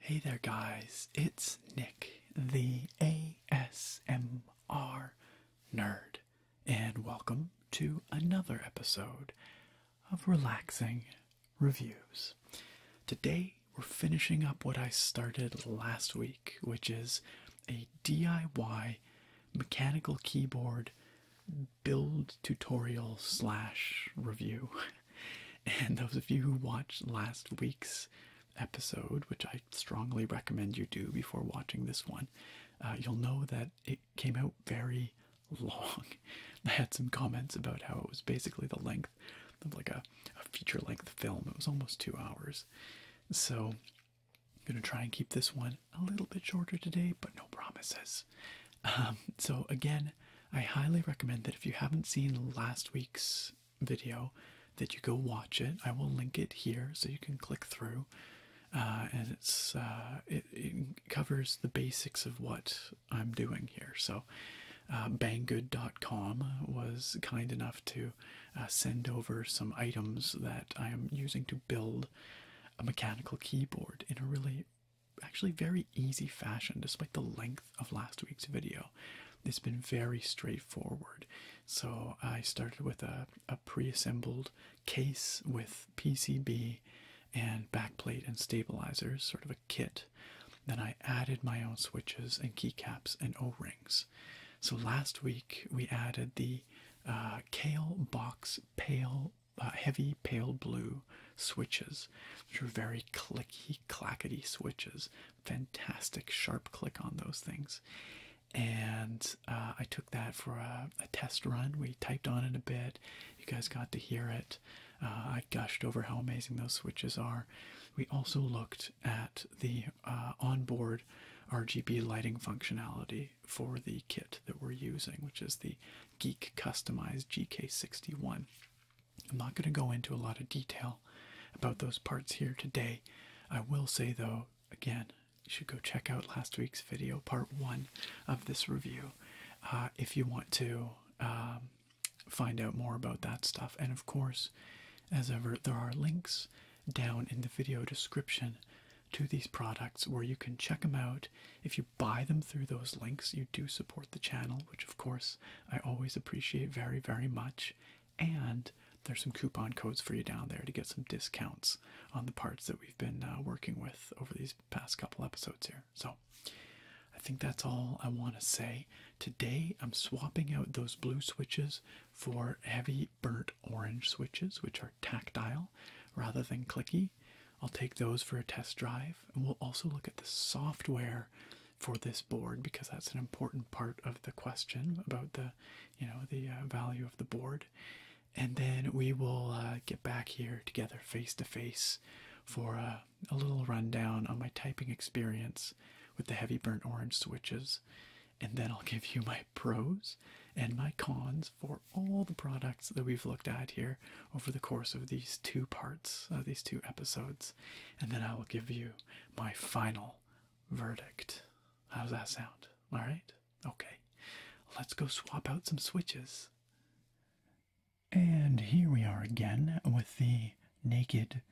Hey there, guys, it's Nick, the ASMR nerd, and welcome to another episode of Relaxing reviews. Today, we're finishing up what I started last week, which is a DIY mechanical keyboard build tutorial slash review. And those of you who watched last week's episode, which I strongly recommend you do before watching this one, uh, you'll know that it came out very long. I had some comments about how it was basically the length of like a, a feature length film. It was almost two hours. So I'm gonna try and keep this one a little bit shorter today, but no promises. Um, so again, I highly recommend that if you haven't seen last week's video, that you go watch it. I will link it here so you can click through. Uh, and it's uh, it, it covers the basics of what I'm doing here. So so, uh, banggood.com was kind enough to uh, send over some items that I am using to build a mechanical keyboard in a really actually very easy fashion despite the length of last week's video it's been very straightforward so i started with a, a pre-assembled case with pcb and backplate and stabilizers, sort of a kit. Then I added my own switches and keycaps and O rings. So last week we added the uh, Kale Box Pale. Uh, heavy pale blue switches, which are very clicky, clackety switches. Fantastic sharp click on those things. And uh, I took that for a test run. We typed on it a bit. You guys got to hear it. Uh, I gushed over how amazing those switches are. We also looked at the uh, onboard RGB lighting functionality for the kit that we're using, which is the Geek Customized GK61. I'm not going to go into a lot of detail about those parts here today. I will say, though, again, you should go check out last week's video, part one of this review, uh, if you want to. Um, find out more about that stuff. And of course, as ever, there are links down in the video description to these products where you can check them out. If you buy them through those links, you do support the channel, which of course I always appreciate very, very much. And there's some coupon codes for you down there to get some discounts on the parts that we've been uh, working with over these past couple episodes here. So, I think that's all I want to say. Today I'm swapping out those blue switches for heavy burnt orange switches, which are tactile rather than clicky. I'll take those for a test drive, and we'll also look at the software for this board because that's an important part of the question about the, you know, the uh, value of the board. And then we will uh, get back here together face to face for a. Uh, a little rundown on my typing experience with the heavy burnt orange switches, and then I'll give you my pros and my cons for all the products that we've looked at here over the course of these two parts, uh, these two episodes, and then I will give you my final verdict. How does that sound? All right? Okay. Let's go swap out some switches. And here we are again with the naked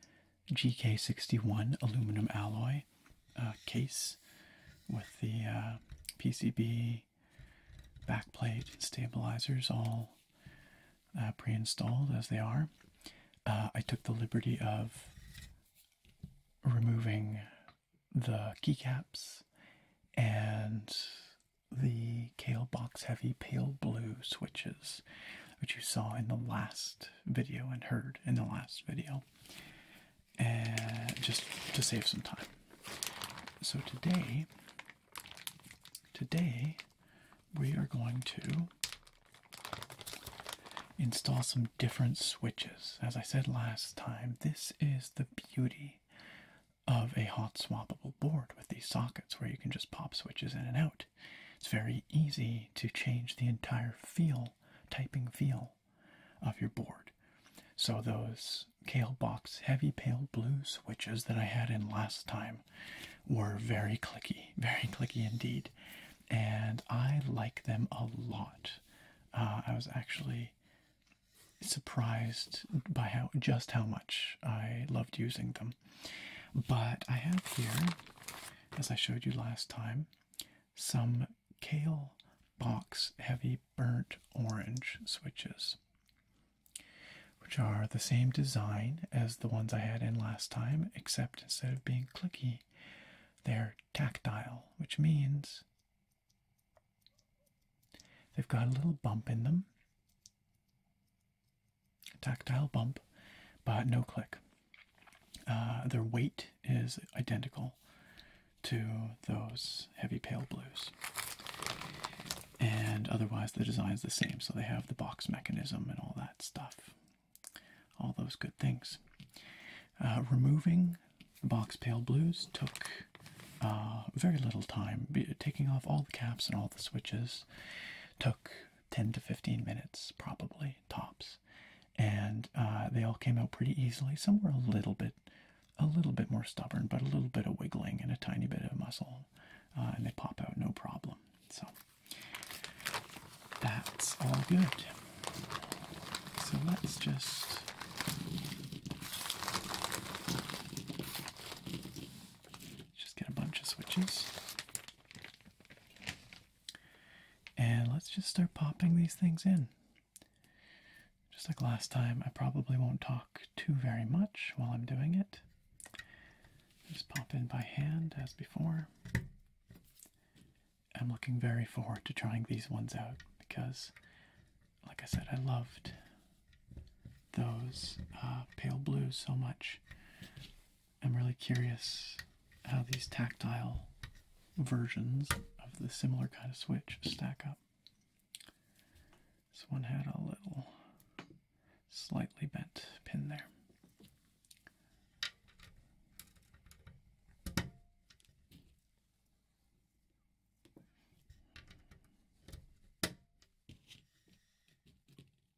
GK61 aluminum alloy uh, case with the uh, PCB backplate and stabilizers all uh, pre-installed as they are. Uh, I took the liberty of removing the keycaps and the Kale Box Heavy Pale Blue switches, which you saw in the last video and heard in the last video, and just to save some time. So today, today we are going to install some different switches. As I said last time, this is the beauty of a hot swappable board with these sockets where you can just pop switches in and out. It's very easy to change the entire feel, typing feel of your board. So those Kale Box Heavy Pale Blue switches that I had in last time were very clicky, very clicky indeed. And I like them a lot. Uh, I was actually surprised by how just how much I loved using them. But I have here, as I showed you last time, some Kale Box Heavy Burnt Orange switches, which are the same design as the ones I had in last time, except instead of being clicky, they're tactile, which means they've got a little bump in them tactile bump, but no click. Uh, their weight is identical to those heavy pale blues. And otherwise, the design is the same, so they have the box mechanism and all that stuff. All those good things. Uh, removing the box pale blues took uh, very little time. Taking off all the caps and all the switches took 10 to 15 minutes, probably tops. And uh, they all came out pretty easily. Some were a little bit, a little bit more stubborn, but a little bit of wiggling and a tiny bit of muscle, uh, and they pop out no problem. So that's all good. So let's just. Just get a bunch of switches. And let's just start popping these things in. Just like last time, I probably won't talk too very much while I'm doing it. Just pop in by hand as before. I'm looking very forward to trying these ones out because, like I said, I loved those uh, pale blues so much. I'm really curious how these tactile versions of the similar kind of switch stack up. This one had a little slightly bent pin there.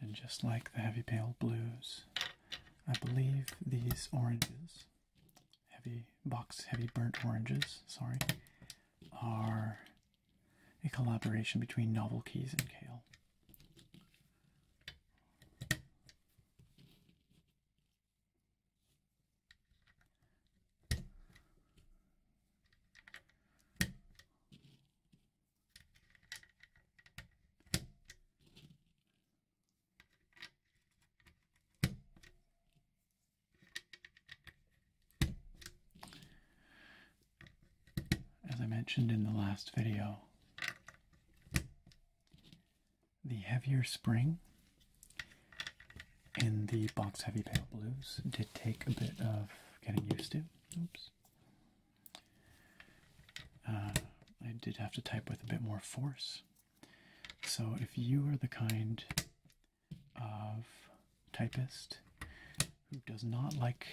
And just like the heavy pale blues, I believe these oranges, heavy box heavy burnt oranges, sorry, are a collaboration between Novel Keys and Kale. As I mentioned in the last video, the heavier spring in the box heavy pale blues did take a bit of getting used to. Oops. Uh, I did have to type with a bit more force. So if you are the kind of typist who does not like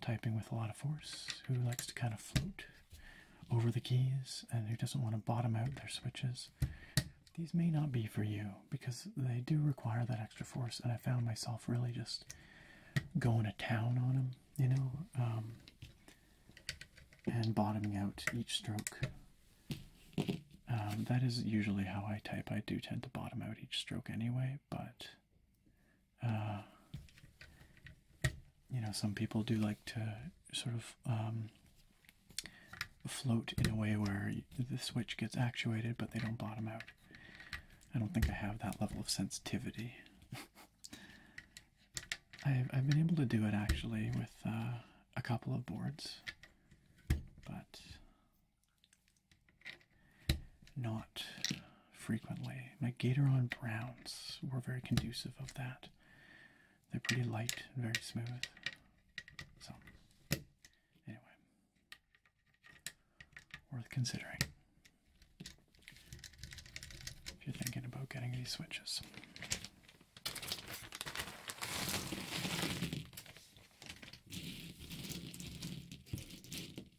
typing with a lot of force, who likes to kind of float over the keys, and who doesn't want to bottom out their switches. These may not be for you because they do require that extra force, and I found myself really just going to town on them, you know, um, and bottoming out each stroke. Um, that is usually how I type. I do tend to bottom out each stroke anyway, but uh, you know, some people do like to sort of um, float in a way where the switch gets actuated, but they don't bottom out. I don't think I have that level of sensitivity. I've, been able to do it actually with uh, a couple of boards, but not frequently. My Gatoron browns were very conducive of that. They're pretty light and very smooth. So, anyway, worth considering if you're thinking about getting these switches.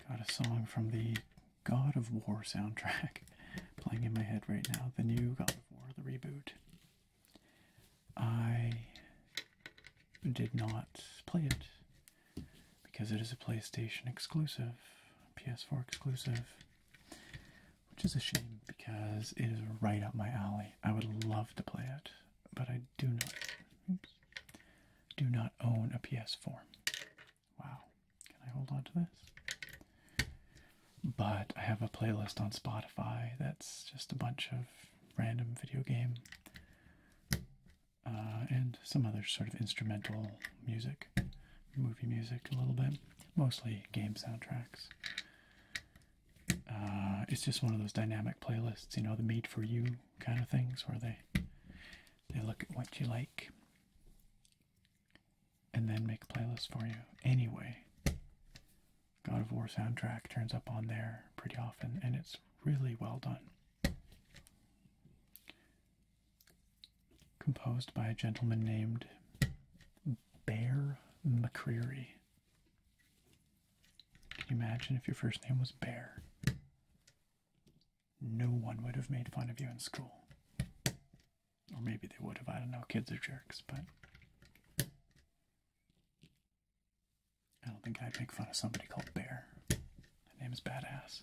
I've got a song from the God of War soundtrack playing in my head right now. The new God of War, the reboot. I did not play it because it is a PlayStation exclusive, PS4 exclusive which is a shame because it is right up my alley. I would love to play it, but I do not do not own a PS4. Wow. Can I hold on to this? But I have a playlist on Spotify that's just a bunch of random video game uh, and some other sort of instrumental music, movie music a little bit, mostly game soundtracks. Uh, it's just one of those dynamic playlists, you know, the made for you kind of things where they they look at what you like and then make playlists for you. Anyway, God of War soundtrack turns up on there pretty often and it's really well done. Composed by a gentleman named Bear McCreary. Can you imagine if your first name was Bear? No one would have made fun of you in school. Or maybe they would have, I don't know, kids are jerks, but I don't think I'd make fun of somebody called Bear. My name is badass.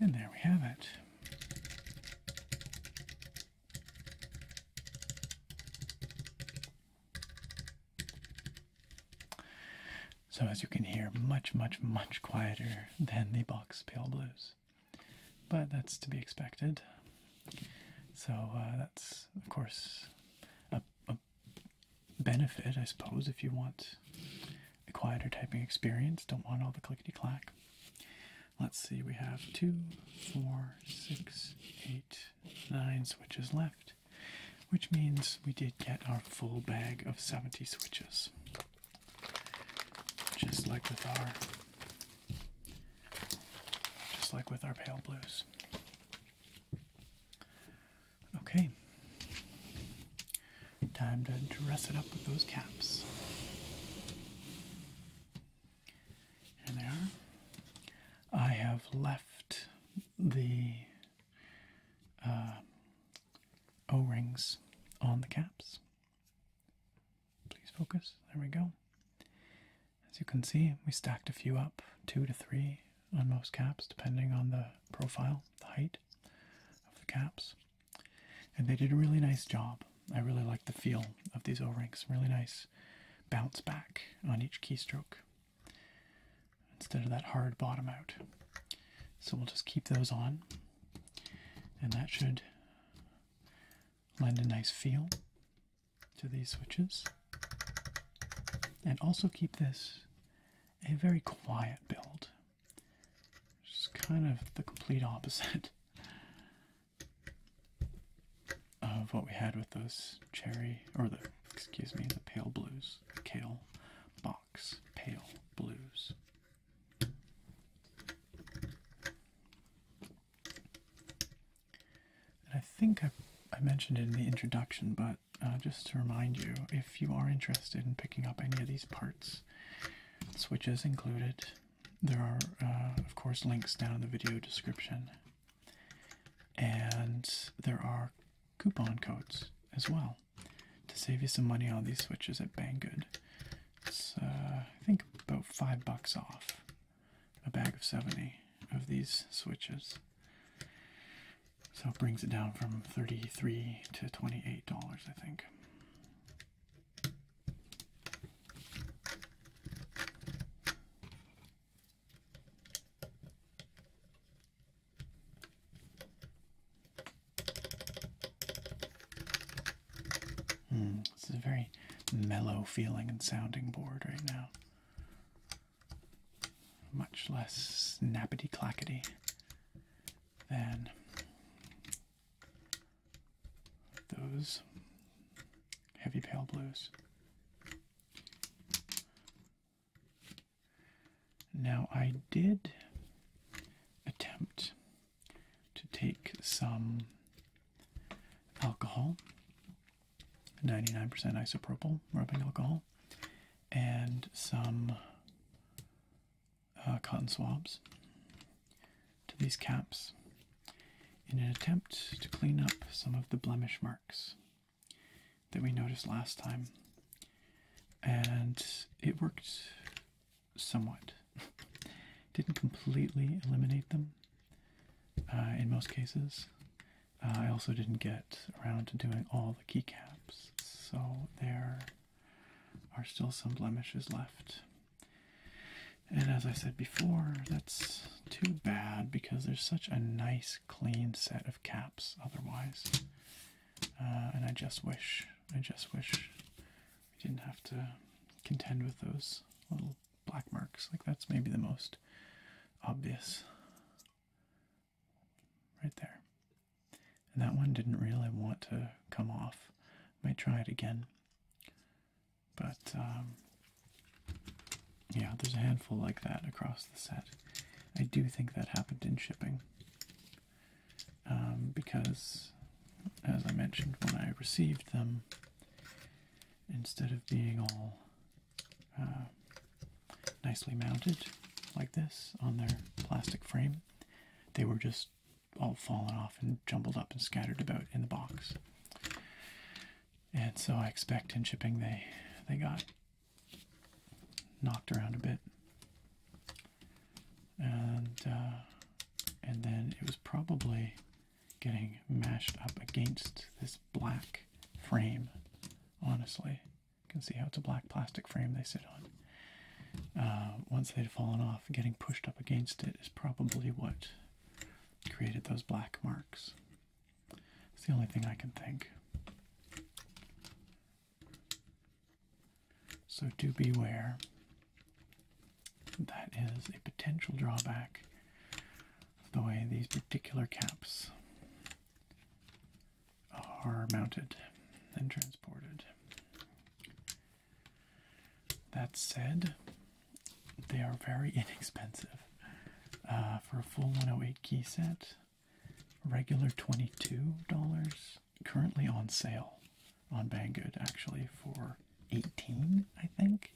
And there we have it. So as you can hear, much, much, much quieter than the box Pale Blues. But that's to be expected. So uh, that's, of course, a benefit, I suppose, if you want a quieter typing experience. Don't want all the clickety clack. Let's see, we have two, four, six, eight, nine switches left, which means we did get our full bag of 70 switches. Just like with our just like with our pale blues. Okay. Time to dress it up with those caps. And I have left the uh, O rings on the caps. Please focus. There we go. As you can see, we stacked a few up two to three, on most caps, depending on the profile, the height of the caps. And they did a really nice job. I really like the feel of these O-rings. Really nice bounce back on each keystroke instead of that hard bottom out. So we'll just keep those on and that should lend a nice feel to these switches. And also keep this a very quiet build. Just kind of the complete opposite of what we had with those cherry, or the, excuse me, the pale blues, the kale box, pale blues. And I think I, I mentioned it in the introduction, but uh, just to remind you, if you are interested in picking up any of these parts, switches included, there are, uh, of course, links down in the video description. And there are coupon codes as well to save you some money on these switches at Banggood. It's, uh, I think, about five bucks off a bag of 70 of these switches. So it brings it down from 33 to $28, I think. Hmm, this is a very mellow feeling and sounding board right now much less snappity clackety than those heavy pale blues. Now, I did attempt to take some alcohol, 99% isopropyl rubbing alcohol, and some uh, cotton swabs to these caps in an attempt to clean up some of the blemish marks that we noticed last time. And it worked somewhat. Didn't completely eliminate them uh, in most cases. Uh, I also didn't get around doing all the keycaps, so there are still some blemishes left. And as I said before, that's too bad because there's such a nice clean set of caps otherwise. Uh, and I just wish, I just wish we didn't have to contend with those little black marks. Like that's maybe the most obvious right there. And that one didn't really want to come off. Might try it again. But um, yeah, there's a handful like that across the set. I do think that happened in shipping. Um, because, as I mentioned, when I received them, instead of being all uh, nicely mounted like this on their plastic frame. They were just all fallen off and jumbled up and scattered about in the box. And so I expect in shipping they they got knocked around a bit. And uh, and then it was probably getting mashed up against this black frame, honestly. You can see how it's a black plastic frame they sit on. Uh, once they'd fallen off, getting pushed up against it is probably what created those black marks. It's the only thing I can think. So do beware. That is a potential drawback of the way these particular caps are mounted and transported. That said, they are very inexpensive. Uh, for a full 108 key set, regular $22, currently on sale on Banggood actually for 18 I think.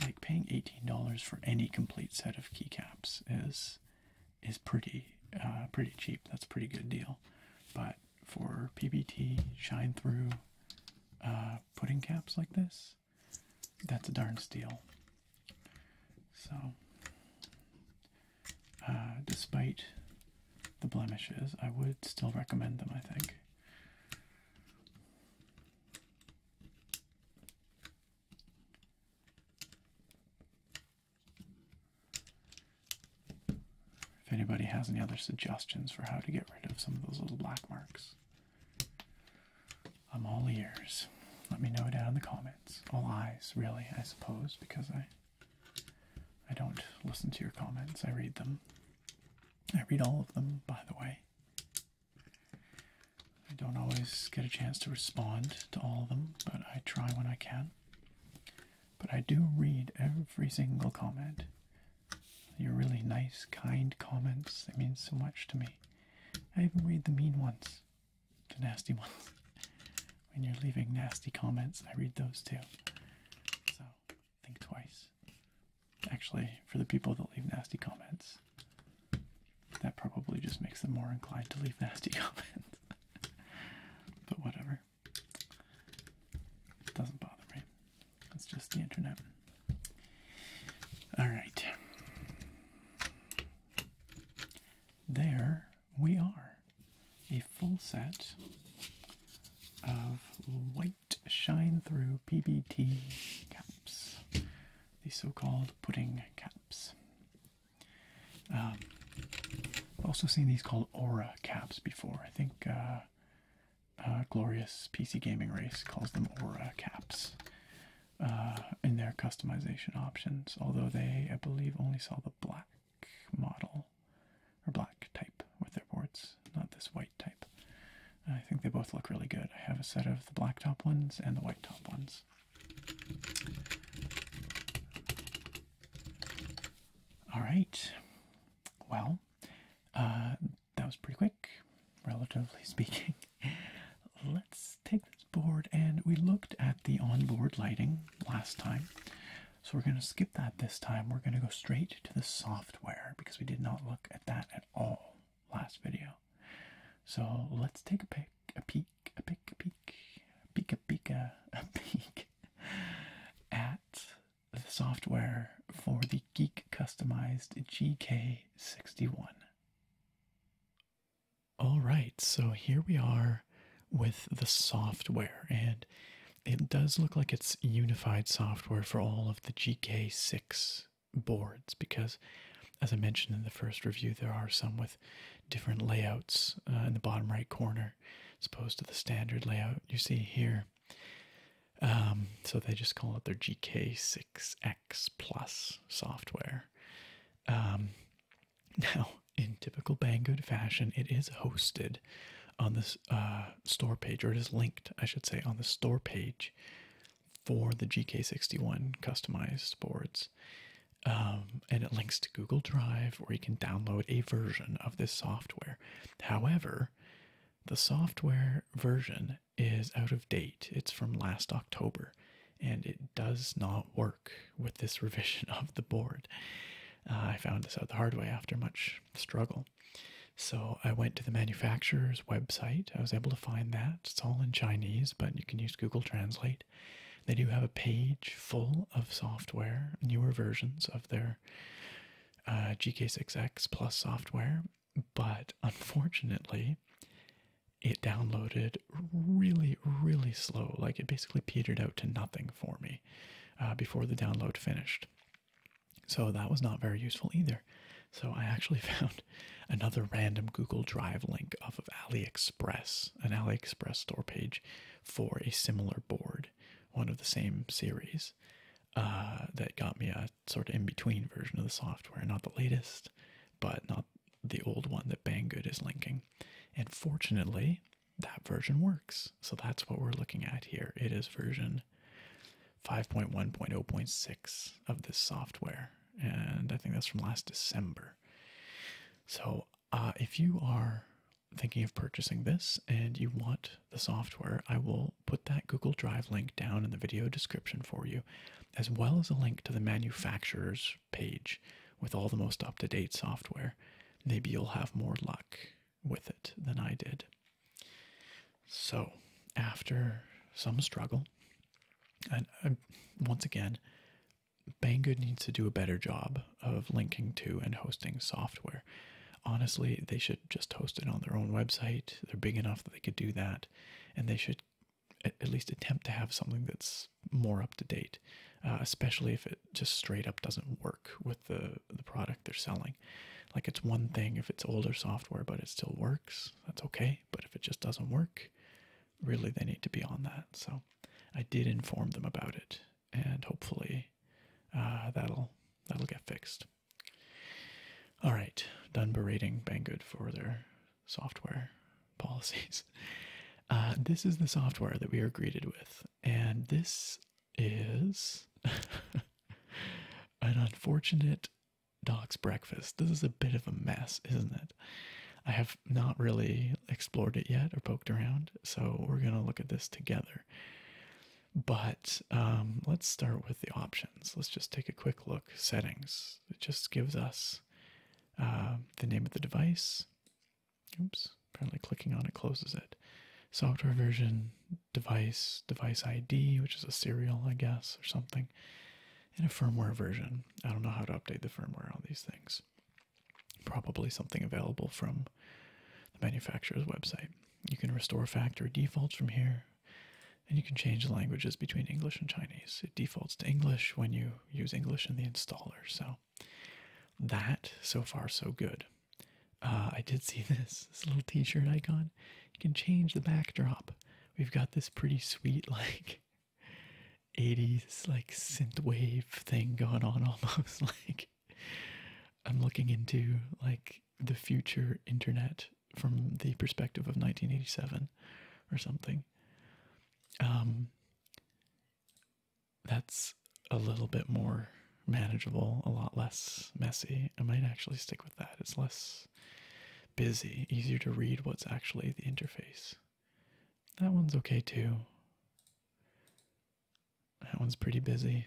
Like paying $18 for any complete set of keycaps is is pretty uh, pretty cheap. That's a pretty good deal. But for PBT shine through uh, putting caps like this, that's a darn steal. So, uh, despite the blemishes, I would still recommend them, I think. If anybody has any other suggestions for how to get rid of some of those little black marks, I'm all ears. Let me know down in the comments. All eyes, really, I suppose, because I I don't listen to your comments. I read them. I read all of them, by the way. I don't always get a chance to respond to all of them, but I try when I can. But I do read every single comment. Your really nice, kind comments. they mean so much to me. I even read the mean ones, the nasty ones. when you're leaving nasty comments, I read those too. So think twice. Actually, for the people that leave nasty comments, that probably just makes them more inclined to leave nasty comments. but whatever. It doesn't bother me. It's just the internet. Alright. There we are. A full set of white shine through PBT caps. The so called pudding caps. I've um, also seen these called Aura caps before. I think uh, uh, Glorious PC Gaming Race calls them Aura caps uh, in their customization options, although they, I believe, only sell the black model or black type with their boards, not this white type. I think they both look really good. I have a set of the black top ones and the white top ones. All right. Well, uh, that was pretty quick, relatively speaking. Let's take this board, and we looked at the onboard lighting last time. So we're going to skip that this time. We're going to go straight to the software because we did not look at that at all last video. So let's take a peek a peek, a peek, a peek, a peek, at the software for the Geek Customized GK61. All right, so here we are with the software, and it does look like it's unified software for all of the GK6 boards because, as I mentioned in the first review, there are some with different layouts uh, in the bottom right corner here as opposed to the standard layout you see here. Um, so they just call it their GK6X Plus software. Um, now, in typical Banggood fashion, it is hosted on the uh, store page, or it is linked, I should say, on the store page for the GK61 customized boards. Um, and it links to Google Drive, where you can download a version of this software. However, the software version is out of date. It's from last October, and it does not work with this revision of the board. Uh, I found this out the hard way after much struggle. So I went to the manufacturer's website. I was able to find that. It's all in Chinese, but you can use Google Translate. They do have a page full of software, newer versions of their uh, GK6X Plus software, but unfortunately, it downloaded really, really slow. Like it basically petered out to nothing for me uh, before the download finished. So that was not very useful either. So I actually found another random Google Drive link off of AliExpress. Express an AliExpress store page for a similar board, one of the same series, uh, that got me a sort of in between version of the software, not the latest, but not the old one that Banggood is linking. And fortunately, that version works. So that's what we're looking at here. It is version 5.1.0.6 of this software. And I think that's from last December. So uh, if you are thinking of purchasing this and you want the software, I will put that Google Drive link down in the video description for you, as well as a link to the manufacturer's page with all the most up to date software. Maybe you'll have more luck with it than I did. So, after some struggle, and uh, once again, Banggood needs to do a better job of linking to and hosting software. Honestly, they should just host it on their own website. They're big enough that they could do that, and they should at least attempt to have something that's more up to date, uh, especially if it just straight up doesn't work with the, the product they're selling. Like, it's one thing if it's older software, but it still works, that's okay. But if it just doesn't work, really, they need to be on that. So, I did inform them about it and hopefully uh, that'll that'll get fixed. All right, done berating Banggood for their software policies. Uh, this is the software that we are greeted with, and this is an unfortunate dog's breakfast. This is a bit of a mess, isn't it? I have not really explored it yet or poked around, so we're gonna look at this together. But um, let's start with the options. Let's just take a quick look. Settings. It just gives us uh, the name of the device. Oops, apparently clicking on it closes it. Software version, device, device ID, which is a serial, I guess, or something, and a firmware version. I don't know how to update the firmware on these things probably something available from the manufacturer's website. You can restore factory defaults from here, and you can change languages between English and Chinese. It defaults to English when you use English in the installer. So, that so far, so good. Uh, I did see this, this little t shirt icon. You can change the backdrop. We've got this pretty sweet, like 80s, like synthwave thing going on almost. Like, I'm looking into like the future internet from the perspective of 1987 or something. Um, that's a little bit more manageable, a lot less messy. I might actually stick with that. It's less busy, easier to read what's actually the interface. That one's okay too. That one's pretty busy.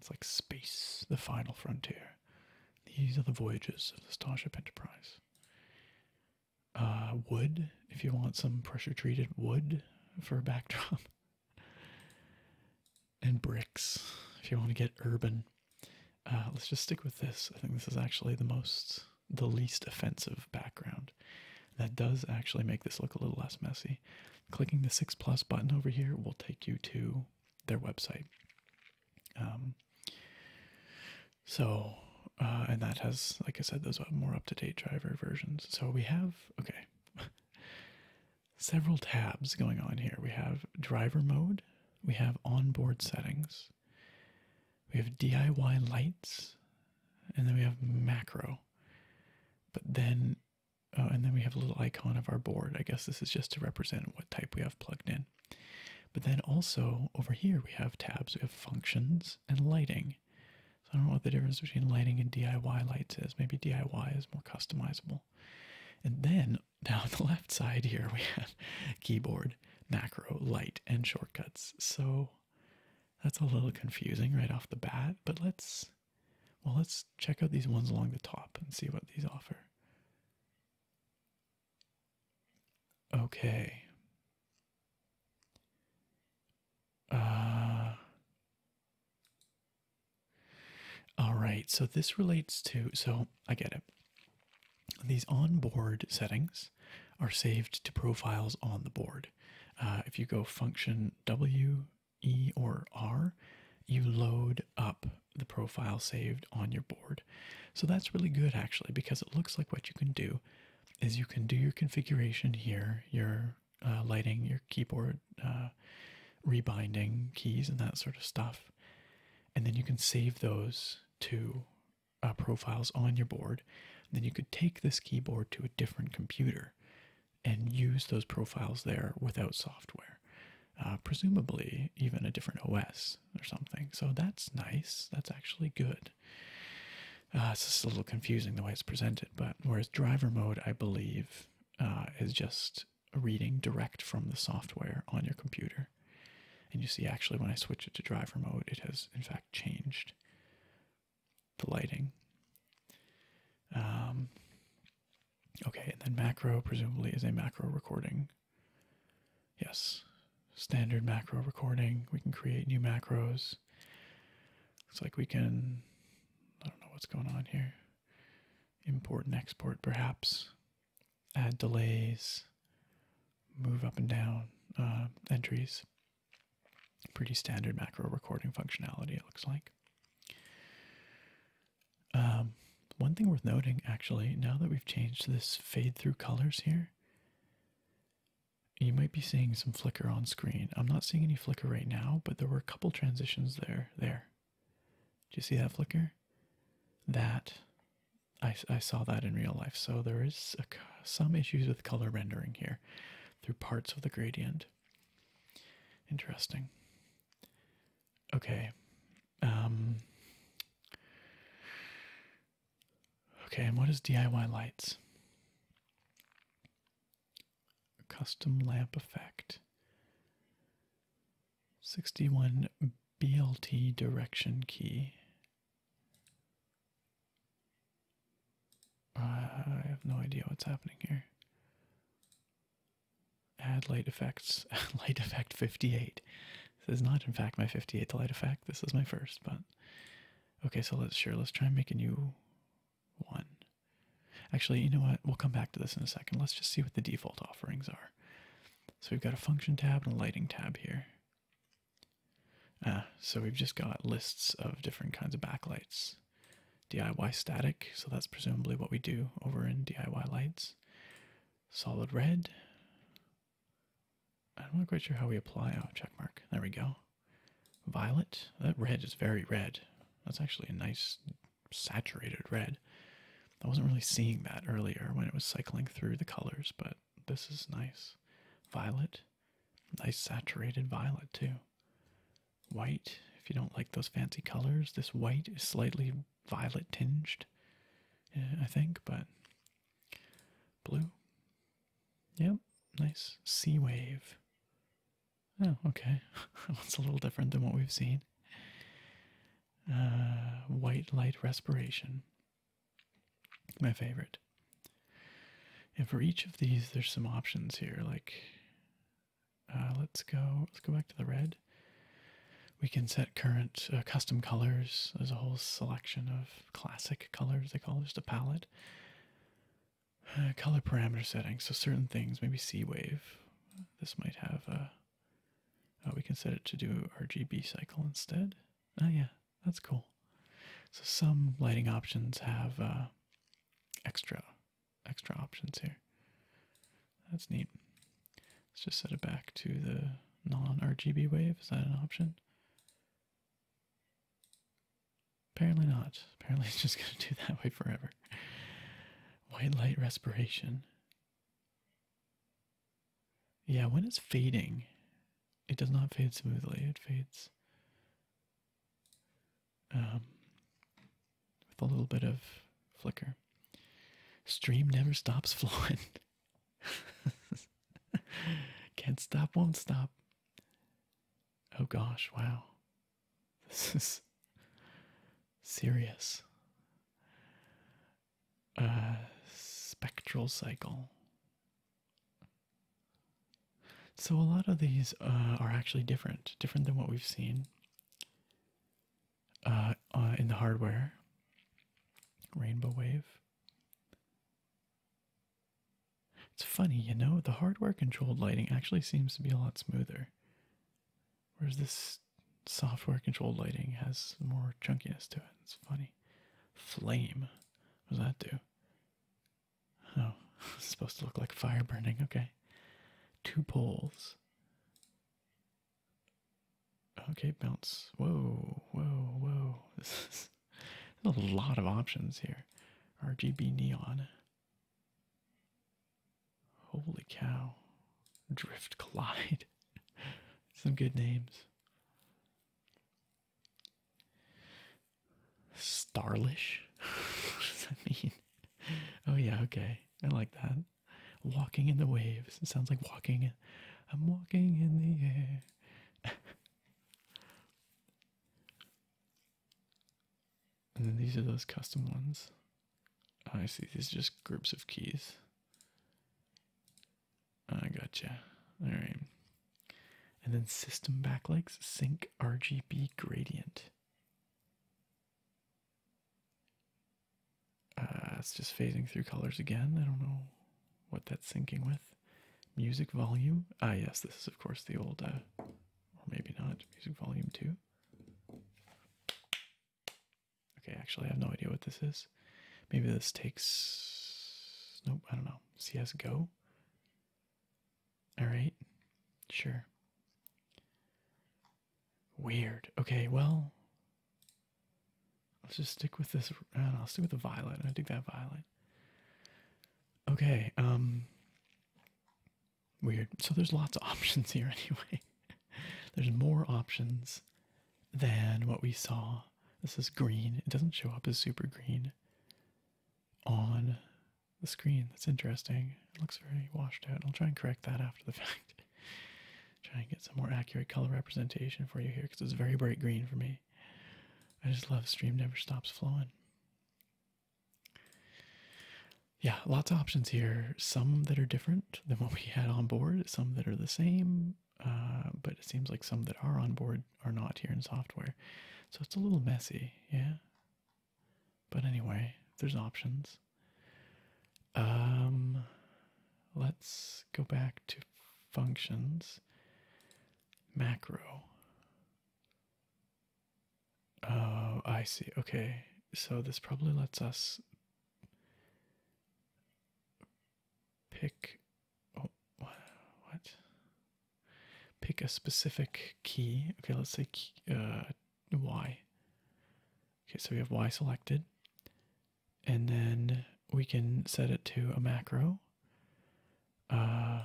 It's like space, the final frontier. These are the voyages of the Starship Enterprise. Uh, wood, if you want some pressure treated wood for a backdrop. and bricks, if you want to get urban. Uh, let's just stick with this. I think this is actually the most, the least offensive background. That does actually make this look a little less messy. Clicking the 6 plus button over here will take you to their website. Um, so, uh, and that has, like I said, those are more up to date driver versions. So we have, okay, several tabs going on here. We have driver mode, we have onboard settings, we have DIY lights, and then we have macro. But then uh, and then we have a little icon of our board. I guess this is just to represent what type we have plugged in. But then also over here we have tabs, we have functions and lighting. So I don't know what the difference between lighting and DIY lights is. Maybe DIY is more customizable. And then down the left side here we have keyboard, macro, light, and shortcuts. So that's a little confusing right off the bat, but let's well, let's check out these ones along the top and see what these offer. Okay. Uh, all right, so this relates to, so I get it. These onboard settings are saved to profiles on the board. Uh, if you go function W E or R, you load up the profile saved on your board. So that's really good actually, because it looks like what you can do is you can do your configuration here, your uh, lighting, your keyboard uh, rebinding keys, and that sort of stuff. And then you can save those to uh, profiles on your board. then you could take this keyboard to a different computer and use those profiles there without software, uh, presumably even a different OS or something. So that's nice. That's actually good. Uh, it's just a little confusing the way it's presented, but whereas driver mode, I believe, uh, is just reading direct from the software on your computer. And you see, actually, when I switch it to driver mode, it has in fact changed the lighting. Um, okay, and then macro presumably is a macro recording. Yes, standard macro recording. We can create new macros. Looks like we can, I don't know what's going on here. Import and export, perhaps. Add delays, move up and down uh, entries. Pretty standard macro recording functionality, it looks like. Um, one thing worth noting, actually, now that we've changed this fade through colors here, you might be seeing some flicker on screen. I'm not seeing any flicker right now, but there were a couple transitions there. There. Do you see that flicker? That. I, I saw that in real life. So there is some issues with color rendering here through parts of the gradient. Interesting. Okay. Um, okay, and what is DIY lights? Custom lamp effect. 61 BLT direction key. I have no idea what's happening here add light effects, light effect 58. This is not, in fact, my 58th light effect. This is my first, but okay, so let's share. let's try and make a new one. Actually, you know what? We'll come back to this in a second. Let's just see what the default offerings are. So we've got a function tab and a lighting tab here. Uh, so we've just got lists of different kinds of backlights. DIY static, so that's presumably what we do over in DIY lights. Solid red. I'm not quite sure how we apply. our oh, check mark. There we go. Violet. That red is very red. That's actually a nice saturated red. I wasn't really seeing that earlier when it was cycling through the colors, but this is nice. Violet. Nice saturated violet, too white if you don't like those fancy colors. This white is slightly violet tinged, uh, I think, but blue. Yep, nice sea wave. Oh, okay. That's a little different than what we've seen. Uh, white light respiration. My favorite. And for each of these, there's some options here, like uh, let's go. Let's go back to the red. We can set current uh, custom colors. There's a whole selection of classic colors. They call it just a palette. Uh, color parameter settings. So certain things, maybe C wave. This might have a. Oh, we can set it to do RGB cycle instead. Oh yeah, that's cool. So some lighting options have extra extra options here. That's neat. Let's just set it back to the non-RGB wave. Is that an option? Apparently not. Apparently it's just going to do that way forever. White light respiration. Yeah, when it's fading, it does not fade smoothly. It fades um, with a little bit of flicker. Stream never stops flowing. Can't stop, won't stop. Oh gosh, wow. This is serious. Uh, spectral cycle. So a lot of these uh, are actually different, different than what we've seen. Uh, uh, in the hardware. Rainbow Wave. It's funny, you know, the hardware controlled lighting actually seems to be a lot smoother. Whereas this software controlled lighting has more chunkiness to it. It's funny. Flame. What does that do? Oh, supposed to look like fire burning. Okay. Two poles. Okay, bounce. Whoa, whoa, whoa. There's a lot of options here. RGB neon. Holy cow. Drift Collide. Some good names. Starlish? what does that mean? Oh, yeah, okay. I like that. Walking in the waves. It sounds like walking. I'm walking in the air. and then these are those custom ones. Oh, I see. These are just groups of keys. Oh, I gotcha. All right. And then system backlinks sync RGB gradient. Uh, it's just phasing through colors again. I don't know what that's syncing with. Music volume. Ah, yes, this is, of course, the old, uh, or maybe not, music volume 2. Okay, actually, I have no idea what this is. Maybe this takes. Nope, I don't know. go. Alright, sure. Weird. Okay, well, let's just stick with this. I will stick with the violet. I dig that violet. Okay, um, weird. So there's lots of options here anyway. there's more options than what we saw. This is green. It doesn't show up as super green on the screen. That's interesting. It looks very washed out. I'll try and correct that after the fact. Try and get some more accurate color representation for you here because it's very bright green for me. I just love stream never stops flowing. Yeah, lots of options here. Some that are different than what we had on board, some that are the same, uh, but it seems like some that are on board are not here in software. So it's a little messy, yeah? But anyway, there's options. Um, let's go back to functions, macro. Oh, I see. Okay, so this probably lets us pick. Oh, what? Pick a specific key. Okay, let's say uh, y. Okay, so we have y selected. And then we can set it to a macro. Uh,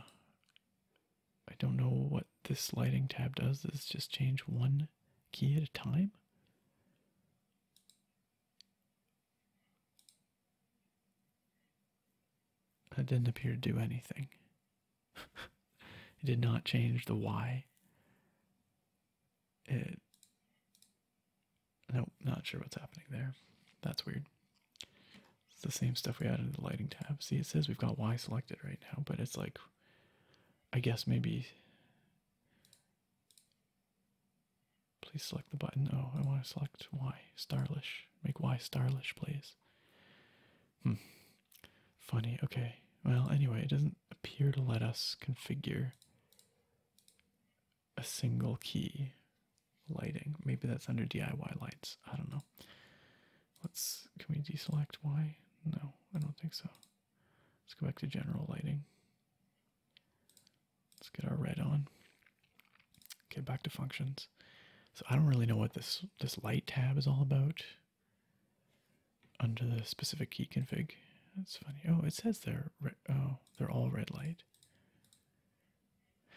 I don't know what this lighting tab does. Does just change one key at a time? That didn't appear to do anything. it did not change the Y it nope not sure what's happening there that's weird it's the same stuff we had in the lighting tab see it says we've got y selected right now but it's like i guess maybe please select the button oh i want to select y starlish make y starlish please hmm. Funny, okay. Well, anyway, it doesn't appear to let us configure a single key lighting. Maybe that's under DIY lights. I don't know. Let's, can we deselect Y? No, I don't think so. Let's go back to general lighting. Let's get our red on. Okay, back to functions. So I don't really know what this this light tab is all about under the specific key config. That's funny. Oh, it says they're oh they're all red light.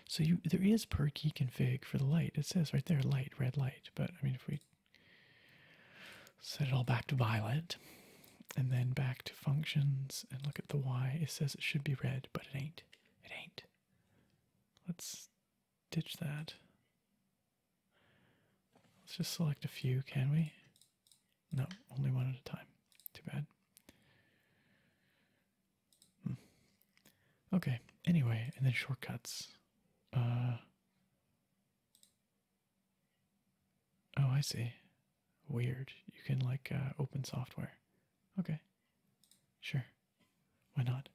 So you there is per key config for the light. It says right there light red light. But I mean if we set it all back to violet and then back to functions and look at the y, it says it should be red, but it ain't. It ain't. Let's ditch that. Let's just select a few, can we? No, only one at a time. Too bad. Hmm. Okay, anyway, and then shortcuts. Uh, oh, I see. Weird. You can, like, uh, open software. Okay, sure. Why not?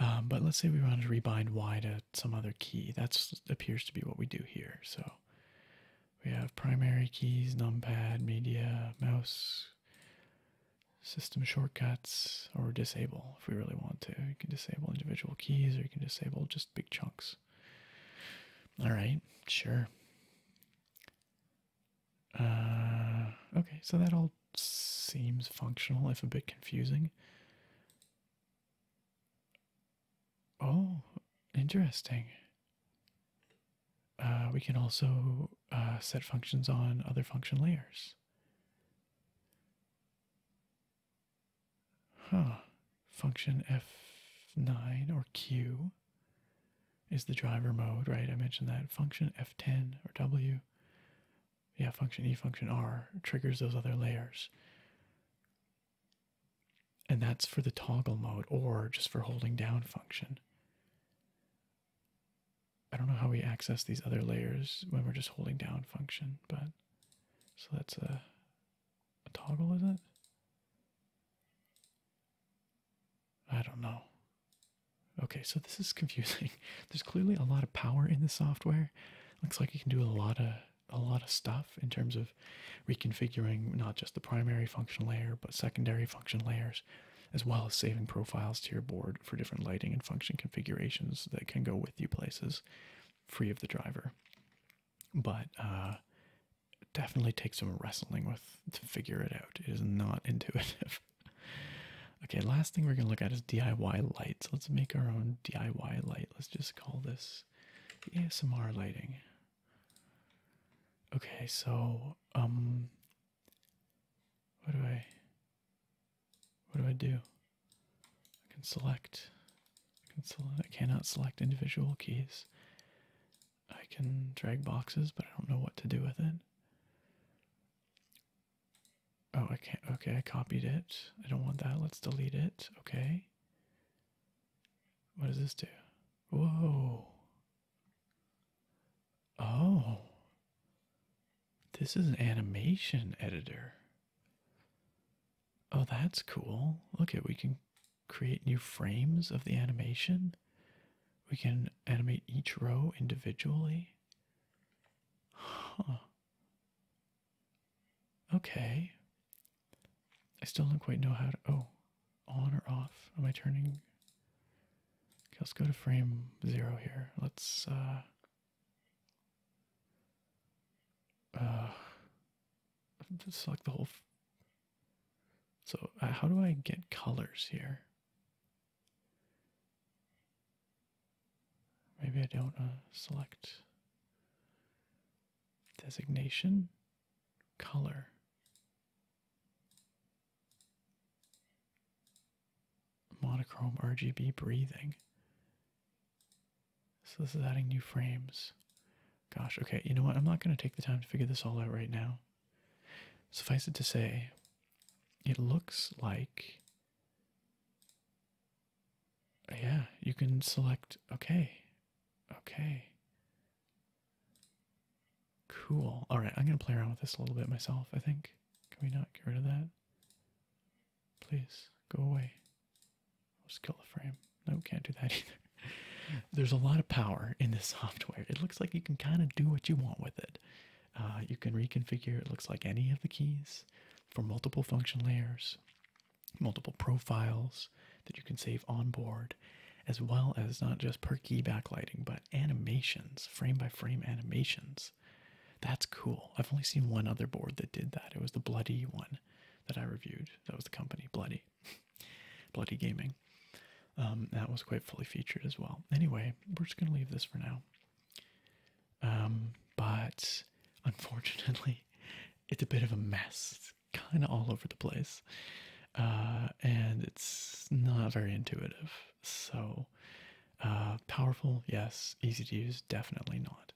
Um, but let's say we wanted to rebind Y to some other key. That's appears to be what we do here. So we have primary keys, numpad, media, mouse, system shortcuts, or disable if we really want to. You can disable individual keys or you can disable just big chunks. Alright, sure. Uh, okay, so that all seems functional if a bit confusing. Oh, interesting. Uh, we can also uh, set functions on other function layers. Huh. Function F9 or Q is the driver mode, right? I mentioned that. Function F10 or W. Yeah, function E, function R triggers those other layers. And that's for the toggle mode or just for holding down function. I don't know how we access these other layers when we're just holding down function, but so that's a, toggle, is it? I don't know. Okay, so this is confusing. There's clearly a lot of power in the software. Looks like you can do a lot of a lot of stuff in terms of reconfiguring not just the primary function layer but secondary function layers as well as saving profiles to your board for different lighting and function configurations that can go with you places free of the driver but uh, definitely takes some wrestling with to figure it out it is not intuitive okay last thing we're going to look at is diy lights let's make our own diy light let's just call this ASMR lighting. Okay, so um what do I what do I do? I can select I can select I cannot select individual keys. I can drag boxes, but I don't know what to do with it. Oh, I can't. Okay, I copied it. I don't want that. Let's delete it. Okay. What does this do? Whoa. Oh. This is an animation editor. Oh, that's cool. Look we can create new frames of the animation. We can animate each row individually. Huh. Okay. I still don't quite know how to. Oh, on or off? Am I turning? Okay, let's go to frame zero here. Let's. Uh, uh, select the whole. so, uh, how do I get colors here? Maybe I don't uh, select. Designation, color. Monochrome RGB breathing. So this is adding new frames. Gosh, okay, you know what? I'm not going to take the time to figure this all out right now. Suffice it to say, it looks like yeah, you can select okay. Okay. Cool. All right, I'm going to play around with this a little bit myself, I think. Can we not get rid of that? Please, go away. Let's kill the frame. No, can't do that either. There's a lot of power in this software. It looks like you can kind of do what you want with it. Uh, you can reconfigure, it looks like, any of the keys for multiple function layers multiple profiles that you can save on board, as well as not just per key backlighting, but animations, frame by frame animations. That's cool. I've only seen one other board that did that. It was the Bloody one that I reviewed. That was the company, Bloody. Bloody Gaming. Um, that was quite fully featured as well. Anyway, we're just going to leave this for now. Um, but unfortunately, it's a bit of a mess kind of all over the place uh, and it's not very intuitive so uh, powerful yes easy to use definitely not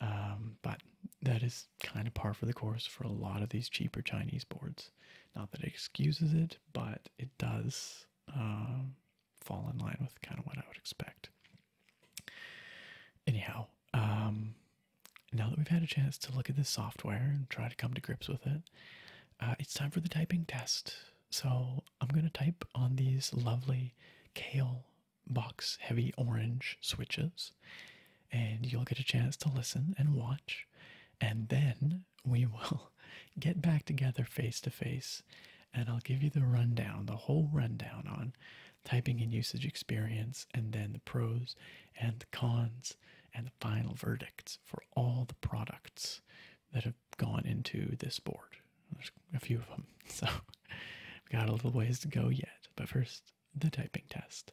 um, but that is kind of par for the course for a lot of these cheaper chinese boards not that it excuses it but it does um, fall in line with kind of what i would expect anyhow um, now that we've had a chance to look at this software and try to come to grips with it, uh, it's time for the typing test. So I'm going to type on these lovely kale box heavy orange switches, and you'll get a chance to listen and watch. And then we will get back together face to face, and I'll give you the rundown, the whole rundown on typing and usage experience, and then the pros and the cons and the final verdicts for all the products that have gone into this board. There's a few of them, so we got a little ways to go yet. But first, the typing test.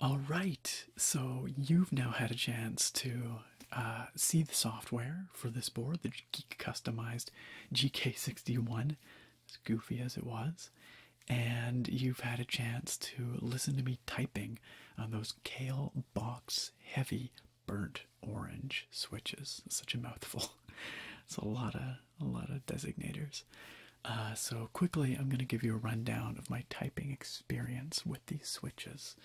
All right, so you've now had a chance to uh, see the software for this board, the Geek Customized GK61, as goofy as it was, and you've had a chance to listen to me typing on those Kale Box Heavy burnt orange switches. such a mouthful. It's a lot of a lot of designators. Uh, so quickly, I'm going to give you a rundown of my typing experience with these switches,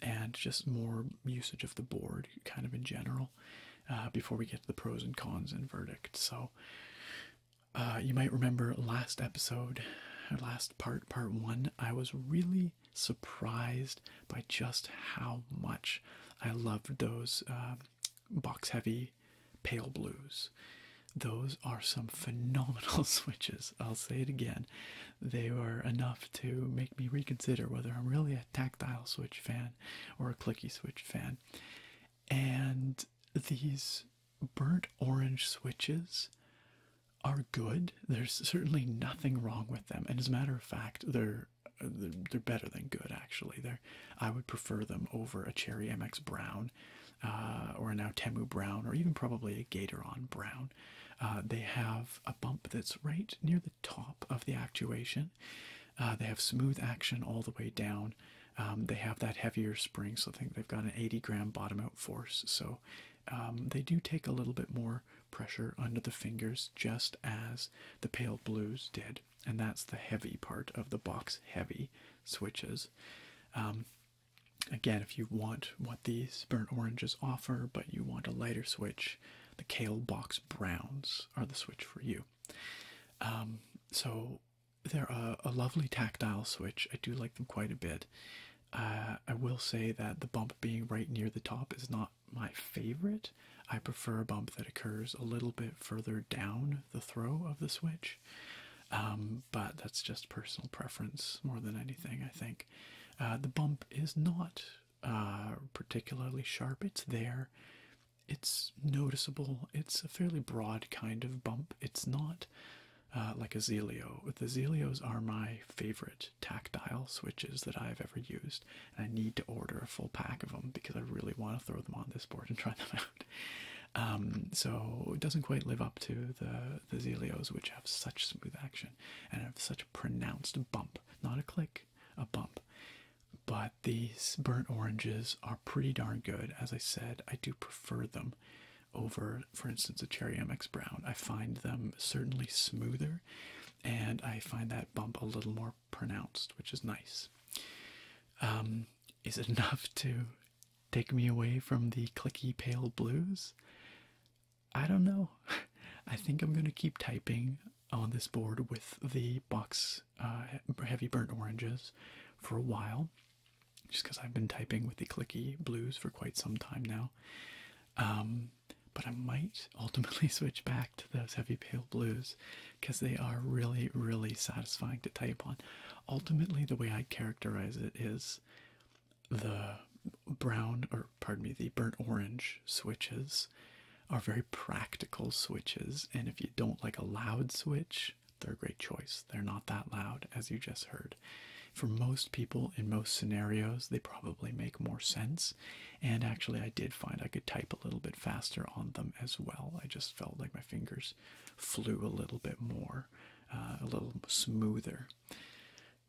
and just more usage of the board, kind of in general, uh, before we get to the pros and cons and verdict. So. Uh, you might remember last episode, last part, part one, I was really, surprised by just how much I loved those um, box heavy pale blues. Those are some phenomenal switches. I'll say it again. They were enough to make me reconsider whether I'm really a tactile switch fan or a clicky switch fan. And these burnt orange switches are good. There's certainly nothing wrong with them, and as a matter of fact, they're uh, they're, better than good. Actually, they're I would prefer them over a Cherry MX Brown, uh, or an Outemu Brown, or even probably a Gatoron Brown. Uh, they have a bump that's right near the top of the actuation. they have smooth action all the way down. Um, they have that heavier spring, so I think they've got an 80 gram bottom out force. So um, they do take a little bit more pressure under the fingers just as the pale blues did, and that's the heavy part of the box heavy switches. Um, again, if you want what these burnt oranges offer, but you want a lighter switch, the kale box browns are the switch for you. Um, so they're a, lovely tactile switch. I do like them quite a bit. Uh, I will say that the bump being right near the top is not my favorite. I prefer a bump that occurs a little bit further down the throw of the switch, um, but that's just personal preference more than anything, I think. Uh, the bump is not uh, particularly sharp, it's there, it's noticeable, it's a fairly broad kind of bump. It's not uh, like a Zelio. The Zelios are my favorite tactile switches that I've ever used. And I need to order a full pack of them because I really want to throw them on this board and try them out. Um, so it doesn't quite live up to the the Zelios, which have such smooth action and have such a pronounced bump, not a click, a bump. But these burnt oranges are pretty darn good. As I said, I do prefer them over, for instance, a Cherry MX Brown. I find them certainly smoother and I find that bump a little more pronounced, which is nice. Um, is it enough to take me away from the clicky pale blues? I don't know. I think I'm going to keep typing on this board with the box uh, heavy burnt oranges for a while, just because I've been typing with the clicky blues for quite some time now. Um, but I might ultimately switch back to those heavy pale blues because they are really, really satisfying to type on. Ultimately, the way I characterize it is the brown, or pardon me, the burnt orange switches are very practical switches, and if you don't like a loud switch, they're a great choice. They're not that loud, as you just heard. For most people, in most scenarios, they probably make more sense and actually, I did find I could type a little bit faster on them as well. I just felt like my fingers flew a little bit more, uh, a little smoother.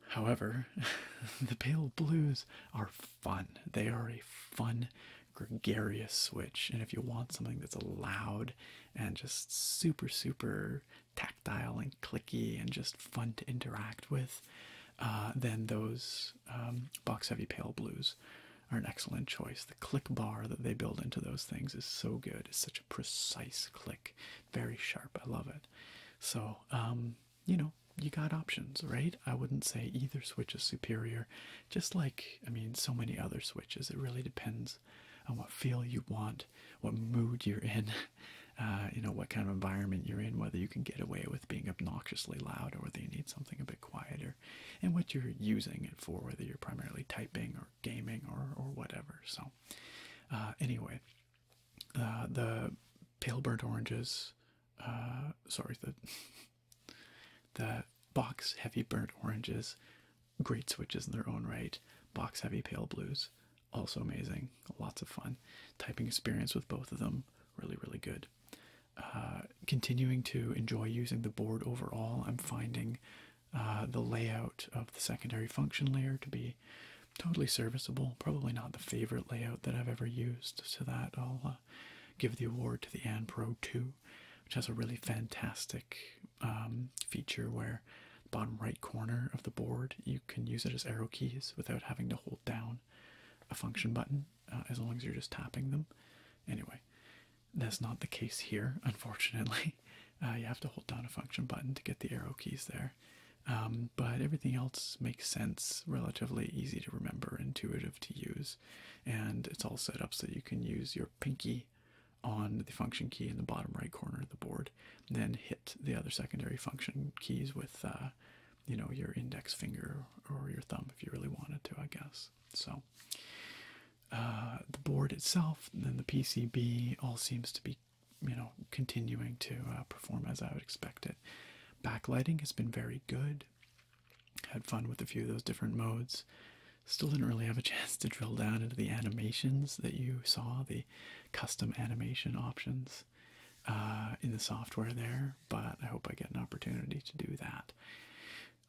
However, the pale blues are fun. They are a fun, gregarious switch. And if you want something that's loud and just super, super tactile and clicky and just fun to interact with, uh, then those um, box heavy pale blues are an excellent choice. The click bar that they build into those things is so good. It's such a precise click, very sharp. I love it. So, um, you know, you got options, right? I wouldn't say either switch is superior, just like, I mean, so many other switches. It really depends on what feel you want, what mood you're in, uh, you know, what kind of environment you're in, whether you can get away with being obnoxiously loud or whether you need something a bit quieter and what you're using it for, whether you're primarily typing or gaming or, or whatever. So, uh, anyway, the pale burnt oranges, uh, sorry, the, the box heavy burnt oranges, great switches in their own right, box heavy pale blues. Also amazing, lots of fun. Typing experience with both of them, really, really good. Uh, continuing to enjoy using the board overall, I'm finding uh, the layout of the secondary function layer to be totally serviceable. Probably not the favorite layout that I've ever used, so that I'll uh, give the award to the AnPro 2, which has a really fantastic um, feature where the bottom right corner of the board you can use it as arrow keys without having to hold down a function button uh, as long as you're just tapping them. Anyway, that's not the case here, unfortunately. Uh, you have to hold down a function button to get the arrow keys there. Um, but everything else makes sense, relatively easy to remember, intuitive to use, and it's all set up so you can use your pinky on the function key in the bottom right corner of the board, then hit the other secondary function keys with uh, you know, your index finger or your thumb if you really wanted to, I guess. So uh, the board itself, and then the PCB, all seems to be, you know, continuing to uh, perform as I would expect it. Backlighting has been very good. Had fun with a few of those different modes. Still didn't really have a chance to drill down into the animations that you saw, the custom animation options. Uh, in the software there, but I hope I get an opportunity to do that.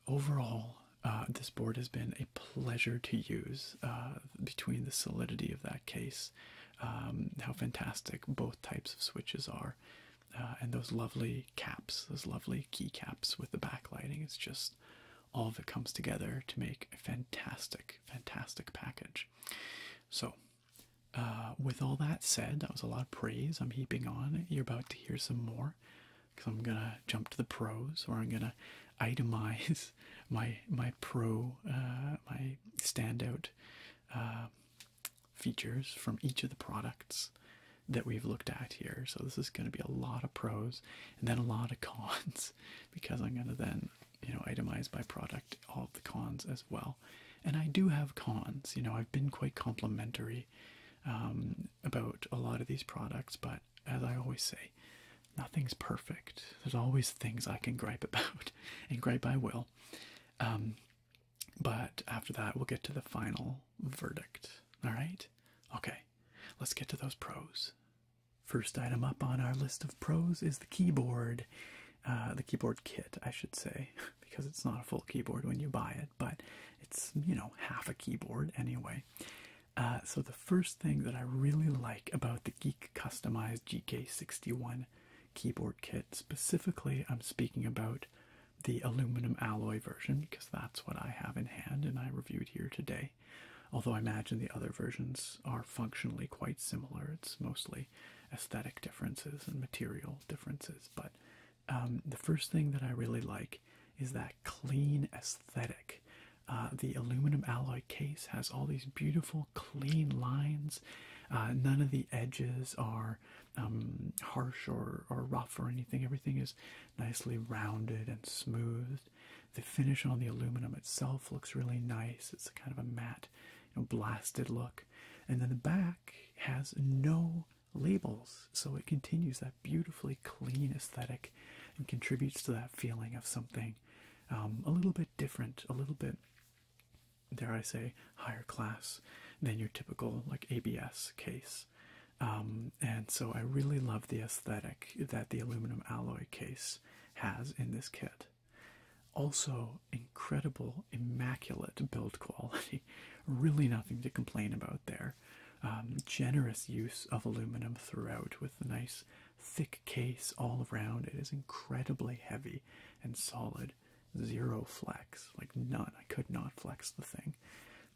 Overall, uh, this board has been a pleasure to use uh, between the solidity of that case, um, how fantastic both types of switches are, and those lovely caps, those lovely key caps with the backlighting. It's just all of it comes together to make a fantastic, fantastic package. So, uh, with all that said, that was a lot of praise I'm heaping on. You're about to hear some more because I'm gonna jump to the pros, or I'm gonna itemize my my pro uh, my standout uh, features from each of the products that we've looked at here. So this is gonna be a lot of pros and then a lot of cons because I'm gonna then you know itemize by product all the cons as well. And I do have cons. You know, I've been quite complimentary um, about a lot of these products, but as I always say, nothing's perfect. There's always things I can gripe about, and gripe I will. Um, but after that, we'll get to the final verdict. All right? Okay, let's get to those pros. First item up on our list of pros is the keyboard, uh, the keyboard kit, I should say. because it's not a full keyboard when you buy it, but it's, you know, half a keyboard anyway. Uh, so, the first thing that I really like about the Geek Customized GK61 keyboard kit, specifically, I'm speaking about the aluminum alloy version because that's what I have in hand and I reviewed here today. Although I imagine the other versions are functionally quite similar, it's mostly aesthetic differences and material differences, but um, the first thing that I really like is that clean aesthetic. Uh, the aluminum alloy case has all these beautiful, clean lines. Uh, none of the edges are um, harsh or, rough or anything. Everything is nicely rounded and smoothed. The finish on the aluminum itself looks really nice. It's kind of a matte, you blasted look. And then the back has no labels. So it continues that beautifully clean aesthetic and contributes to that feeling of something um, a little bit different, a little bit, dare I say, higher class than your typical like ABS case. Um, and so I really love the aesthetic that the aluminum alloy case has in this kit. Also, in incredible, immaculate build quality. Really nothing to complain about there. Um, generous use of aluminum throughout with a nice thick case all around. It is incredibly heavy and solid. Zero flex, like none. I could not flex the thing.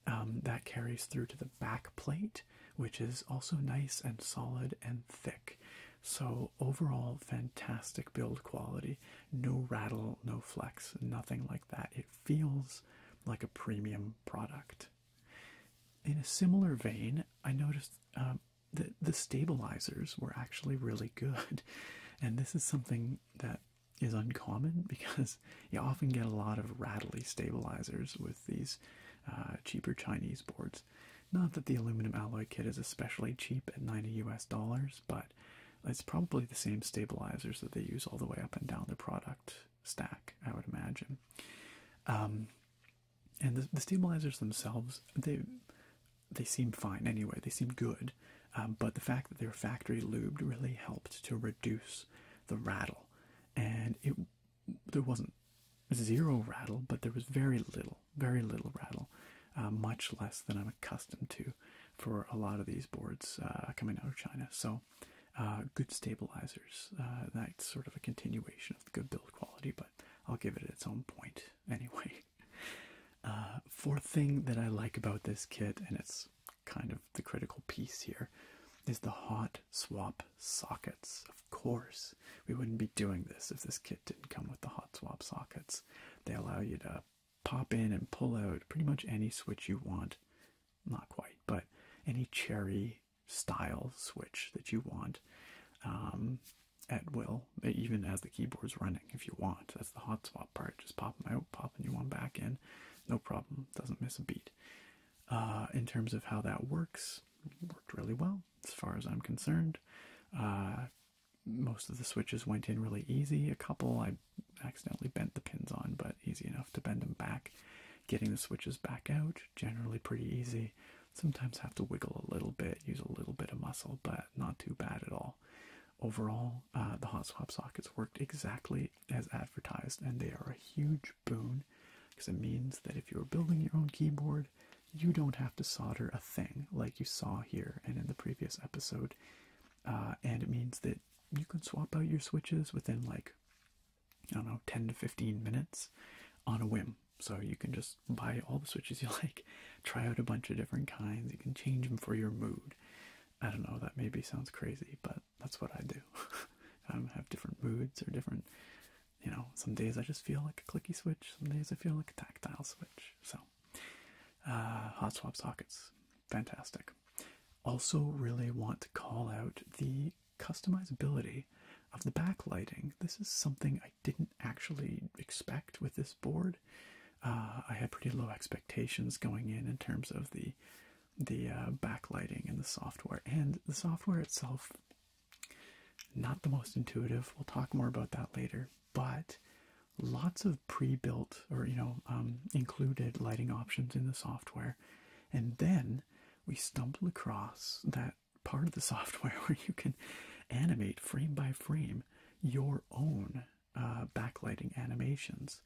Um, that carries through to the back plate, which is also nice and solid and thick. So, overall, fantastic build quality. No rattle, no flex, nothing like that. It feels like a premium product. In a similar vein, I noticed um, that the stabilizers were actually really good. And this is something that is uncommon because you often get a lot of rattly stabilizers with these uh, cheaper Chinese boards. Not that the aluminum alloy kit is especially cheap at 90 US dollars, but it's probably the same stabilizers that they use all the way up and down the product stack, I would imagine. Um, and the, stabilizers themselves, they they seem fine anyway. They seem good, um, but the fact that they were factory lubed really helped to reduce the rattle. And it there wasn't zero rattle, but there was very little, very little rattle, uh, much less than I'm accustomed to for a lot of these boards uh, coming out of China. So, uh, good stabilizers. Uh, that's sort of a continuation of good build quality, but I'll give it its own point anyway. fourth thing that I like about this kit, and it's kind of the critical piece here, is the hot swap sockets. Of course, we wouldn't be doing this if this kit didn't come with the hot swap sockets. They allow you to pop in and pull out pretty much any switch you want. Not quite, but any cherry style switch that you want um, at will, even as the keyboard's running, if you want. That's the hot swap part. Just pop them out, pop a new one back in. No problem. Doesn't miss a beat. Uh, in terms of how that works, worked really well as far as I'm concerned. Uh, most of the switches went in really easy. A couple I accidentally bent the pins on, but easy enough to bend them back. Getting the switches back out, generally pretty easy. Sometimes have to wiggle a little bit, use a little bit of muscle, but not too bad at all. Overall, uh, the hot swap sockets worked exactly as advertised, and they are a huge boon because it means that if you're building your own keyboard, you don't have to solder a thing like you saw here and in the previous episode. Uh, and it means that you can swap out your switches within like I don't know 10 to 15 minutes on a whim. So you can just buy all the switches you like, try out a bunch of different kinds, you can change them for your mood. I don't know, that maybe sounds crazy, but that's what I do. I have different moods or different, you know, some days I just feel like a clicky switch, some days I feel like a tactile switch. So, uh, hot swap sockets fantastic. Also, really want to call out the customizability of the backlighting. This is something I didn't actually expect with this board. Uh, I had pretty low expectations going in in terms of the the uh, backlighting and the software, and the software itself. Not the most intuitive. We'll talk more about that later. But lots of pre-built or you know um, included lighting options in the software and then we stumbled across that part of the software where you can animate frame by frame your own uh, backlighting animations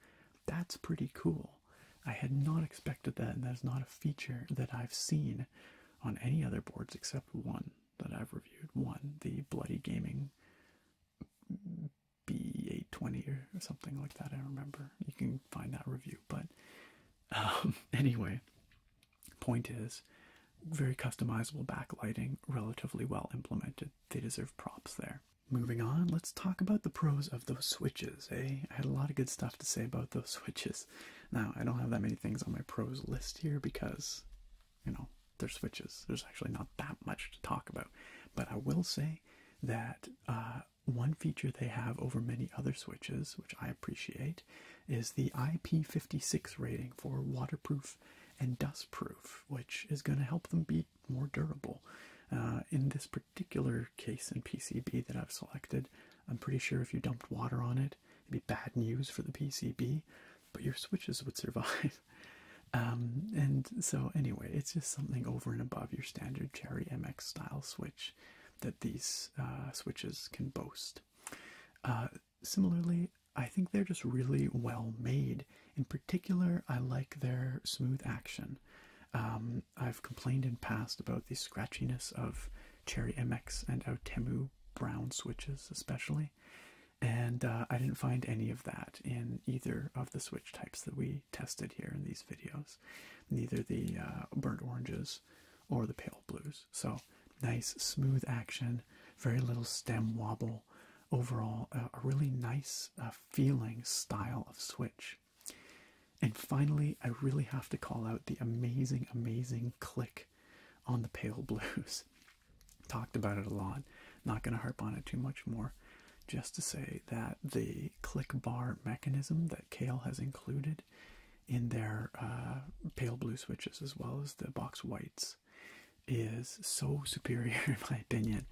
that's pretty cool i had not expected that and that's not a feature that i've seen on any other boards except one that i've reviewed one the bloody gaming B820 or, something like that. I remember you can find that review, but um, anyway, point is very customizable backlighting, relatively well implemented. They deserve props there. Moving on, let's talk about the pros of those switches. Eh? I had a lot of good stuff to say about those switches. Now, I don't have that many things on my pros list here because, you know, they're switches. There's actually not that much to talk about. But I will say that uh, one feature they have over many other switches, which I appreciate, is the IP56 rating for waterproof and dustproof, which is going to help them be more durable. Uh, in this particular case in PCB that I've selected, I'm pretty sure if you dumped water on it, it'd be bad news for the PCB, but your switches would survive. Um, and so, anyway, it's just something over and above your standard Cherry MX style switch that these uh, switches can boast. Uh, similarly, I think they're just really well made. In particular, I like their smooth action. Um, I've complained in past about the scratchiness of Cherry MX and Outemu brown switches, especially, and uh, I didn't find any of that in either of the switch types that we tested here in these videos, neither the uh, burnt oranges or the pale blues. So nice, smooth action, very little stem wobble. Overall, a really nice uh, feeling style of switch. And finally, I really have to call out the amazing, amazing click on the pale blues. Talked about it a lot, not going to harp on it too much more. Just to say that the click bar mechanism that Kale has included in their uh, pale blue switches as well as the box whites is so superior, in my opinion,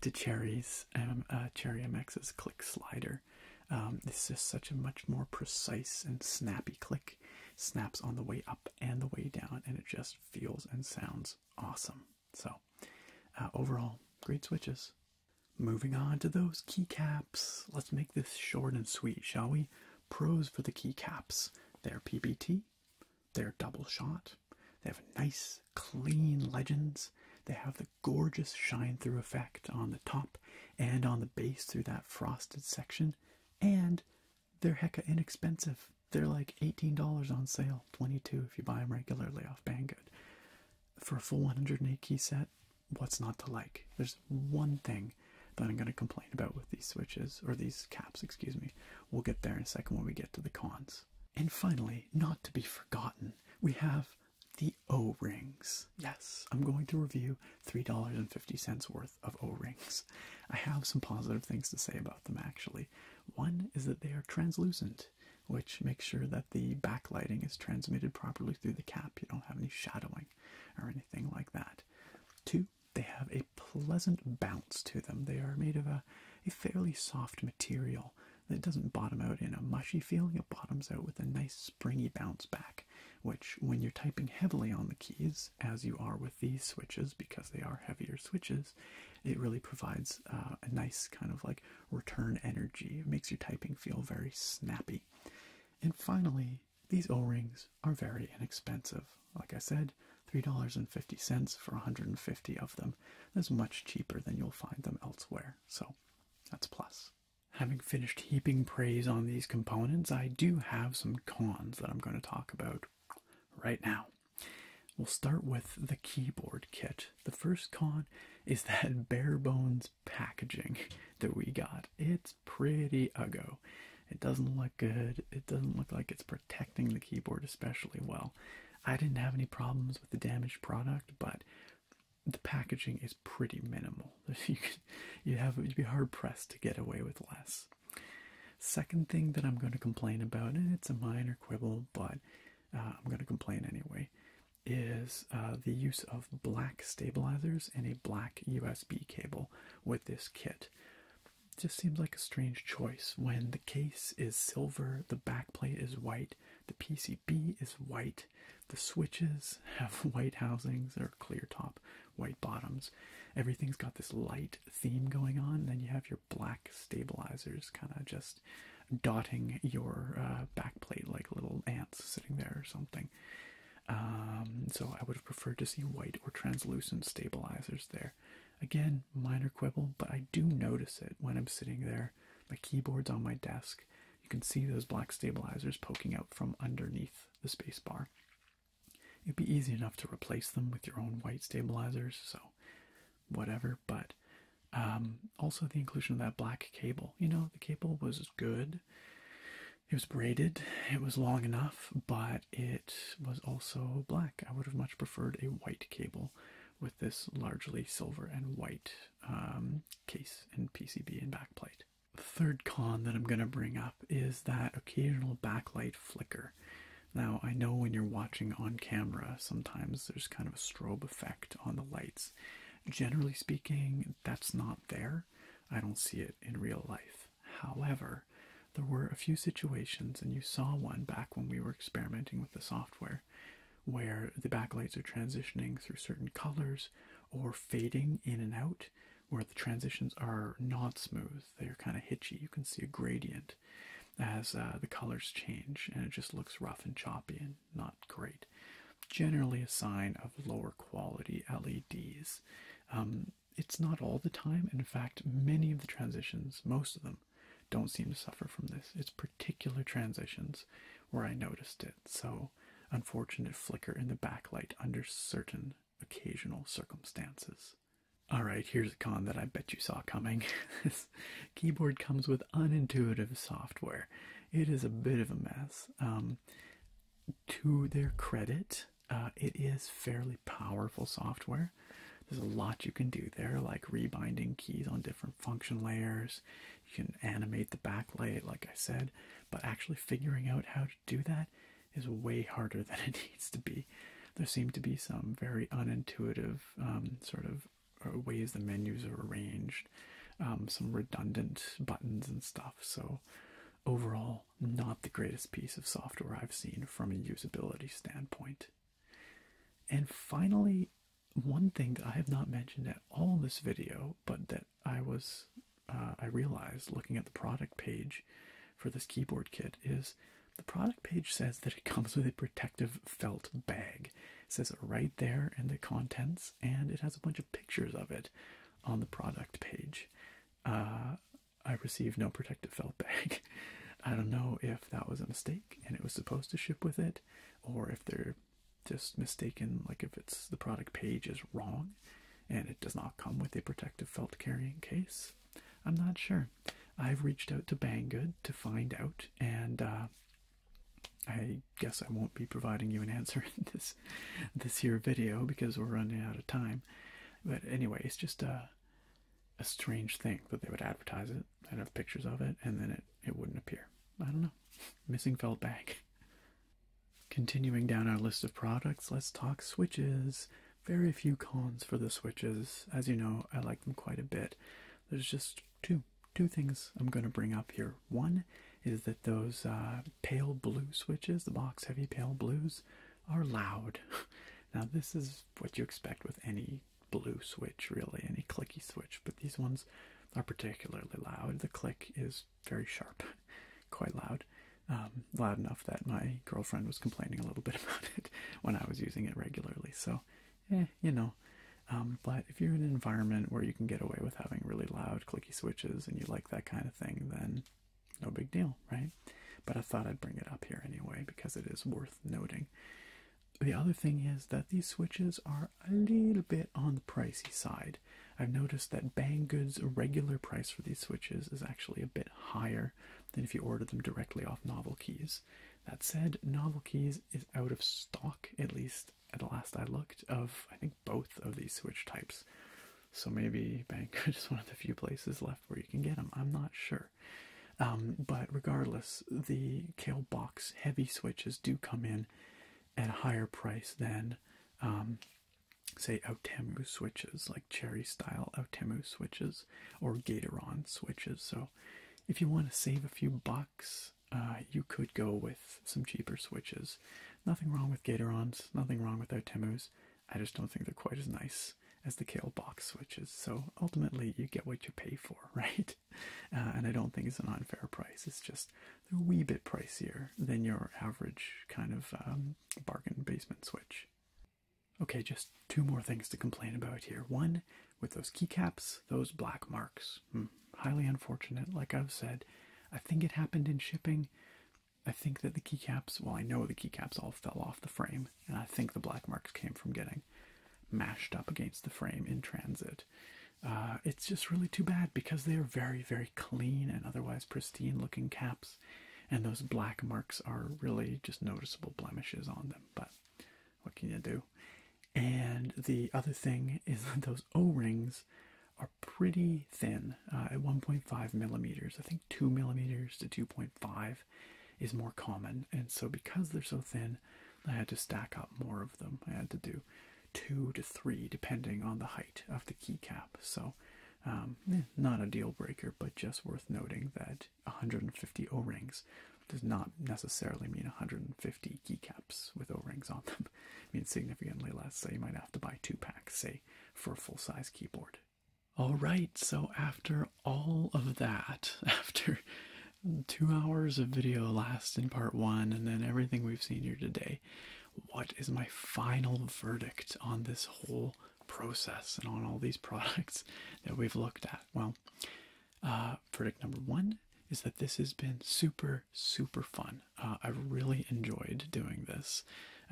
to Cherry's um, uh, Cherry MX's click slider. Um, it's just such a much more precise and snappy click. Snaps on the way up and the way down, and it just feels and sounds awesome. So, uh, overall, great switches. Moving on to those keycaps. Let's make this short and sweet, shall we? Pros for the keycaps. They're PBT, they're double shot, they have nice, clean legends, they have the gorgeous shine through effect on the top and on the base through that frosted section, and they're hecka inexpensive. They're like $18 on sale, 22 if you buy them regularly off Banggood for a full 108 key set, what's not to like? There's one thing that I'm going to complain about with these switches, or these caps, excuse me. We'll get there in a second when we get to the cons. And finally, not to be forgotten, we have the O rings. Yes, I'm going to review $3.50 worth of O rings. I have some positive things to say about them actually. One is that they are translucent which make sure that the backlighting is transmitted properly through the cap. You don't have any shadowing or anything like that. Two, they have a pleasant bounce to them. They are made of a, fairly soft material that doesn't bottom out in a mushy feeling. It bottoms out with a nice springy bounce back, which when you're typing heavily on the keys, as you are with these switches, because they are heavier switches, it really provides uh, a nice kind of like return energy. It makes your typing feel very snappy. And finally, these O-rings are very inexpensive. Like I said, $3.50 for 150 of them. That's much cheaper than you'll find them elsewhere. So that's plus. Having finished heaping praise on these components, I do have some cons that I'm going to talk about right now. We'll start with the keyboard kit. The first con is that bare bones packaging that we got. It's pretty ugly. It doesn't look good. It doesn't look like it's protecting the keyboard especially well. I didn't have any problems with the damaged product, but the packaging is pretty minimal. You would have you be hard pressed to get away with less. Second thing that I'm going to complain about, and it's a minor quibble, but uh, I'm going to complain anyway, is uh, the use of black stabilizers and a black USB cable with this kit. Just seems like a strange choice when the case is silver, the backplate is white, the PCB is white, the switches have white housings or clear top, white bottoms. Everything's got this light theme going on. Then you have your black stabilizers kind of just dotting your uh, backplate like little ants sitting there or something. Um, so I would have preferred to see white or translucent stabilizers there. Again, minor quibble, but I do notice it when I'm sitting there. My keyboard's on my desk. You can see those black stabilizers poking out from underneath the spacebar. It'd be easy enough to replace them with your own white stabilizers, so whatever. But um, also the inclusion of that black cable. You know, the cable was good. It was braided. It was long enough, but it was also black. I would have much preferred a white cable with this largely silver and white um, case and PCB and backplate. third con that I'm going to bring up is that occasional backlight flicker. Now, I know when you're watching on camera, sometimes there's kind of a strobe effect on the lights, generally speaking, that's not there. I don't see it in real life. However, there were a few situations, and you saw one back when we were experimenting with the software, where the backlights are transitioning through certain colors or fading in and out, where the transitions are not smooth. They're kind of hitchy. You can see a gradient as uh, the colors change, and it just looks rough and choppy and not great. Generally, a sign of lower quality LEDs. Um, it's not all the time. In fact, many of the transitions, most of them, don't seem to suffer from this. It's particular transitions where I noticed it. So, unfortunate flicker in the backlight under certain occasional circumstances. Alright, here's a con that I bet you saw coming. this keyboard comes with unintuitive software it is a bit of a mess. Um, to their credit, uh, it is fairly powerful software. There's a lot you can do there, like rebinding keys on different function layers. You can animate the backlight, like I said, but actually figuring out how to do that is way harder than it needs to be. There seem to be some very unintuitive um, sort of uh, ways the menus are arranged, um, some redundant buttons and stuff. So, overall, not the greatest piece of software I've seen from a usability standpoint. And finally, one thing that I have not mentioned at all in this video, but that I was uh, I realized looking at the product page for this keyboard kit is the product page says that it comes with a protective felt bag. It says right there in the contents, and it has a bunch of pictures of it on the product page. Uh, I received no protective felt bag. I don't know if that was a mistake and it was supposed to ship with it, or if they're just mistaken, like if the product page is wrong and it does not come with a protective felt carrying case. I'm not sure. I've reached out to Banggood to find out, and uh, I guess I won't be providing you an answer in this this here video because we're running out of time. But anyway, it's just a strange thing that they would advertise it and have pictures of it, and then it it wouldn't appear. I don't know. Missing felt bag. Continuing down our list of products, let's talk switches. Very few cons for the switches. As you know, I like them quite a bit. There's just two two things I'm going to bring up here. One is that those uh, pale blue switches, the box heavy pale blues, are loud. Now this is what you expect with any blue switch, really, any clicky switch. But these ones are particularly loud. The click is very sharp, quite loud, um, loud enough that my girlfriend was complaining a little bit about it when I was using it regularly. So, eh, you know, um, but if you're in an environment where you can get away with having really loud clicky switches and you like that kind of thing, then no big deal, right? But I thought I'd bring it up here anyway because it is worth noting. The other thing is that these switches are a little bit on the pricey side. I've noticed that Bang regular price for these switches is actually a bit higher than if you order them directly off Novel Keys. That said, Novel Keys is out of stock, at least at the last I looked of I think both of these Switch types. So maybe Banker is one of the few places left where you can get them. I'm not sure. Um, but regardless, the Kale box heavy switches do come in at a higher price than, um, say, Outemu switches, like Cherry style Outemu switches or Gatoron switches. So if you want to save a few bucks, uh, you could go with some cheaper switches. Nothing wrong with Gatorons, nothing wrong with their Otemus. I just don't think they're quite as nice as the Kale box switches. So ultimately, you get what you pay for, right? Uh, and I don't think it's an unfair price. It's just they're a wee bit pricier than your average kind of um, bargain basement switch. Okay, just two more things to complain about here. One, with those keycaps, those black marks. Hmm. highly unfortunate. Like I've said, I think it happened in shipping. I think that the keycaps, well, I know the keycaps all fell off the frame, and I think the black marks came from getting mashed up against the frame in transit. Uh, it's just really too bad because they are very, very clean and otherwise pristine looking caps, and those black marks are really just noticeable blemishes on them. But what can you do? And the other thing is those O rings are pretty thin uh, at 1.5 millimeters. I think 2 millimeters to 2.5 is more common, and so because they're so thin, I had to stack up more of them. I had to do two to three depending on the height of the keycap. So, um, eh, not a deal breaker, but just worth noting that 150 O rings does not necessarily mean 150 keycaps with O rings on them means significantly less. So you might have to buy two packs, say, for a full size keyboard. All right, so after all of that, after two hours of video last in part one, and then everything we've seen here today, what is my final verdict on this whole process and on all these products that we've looked at? Well, uh, verdict number one is that this has been super super fun. Uh, I really enjoyed doing this,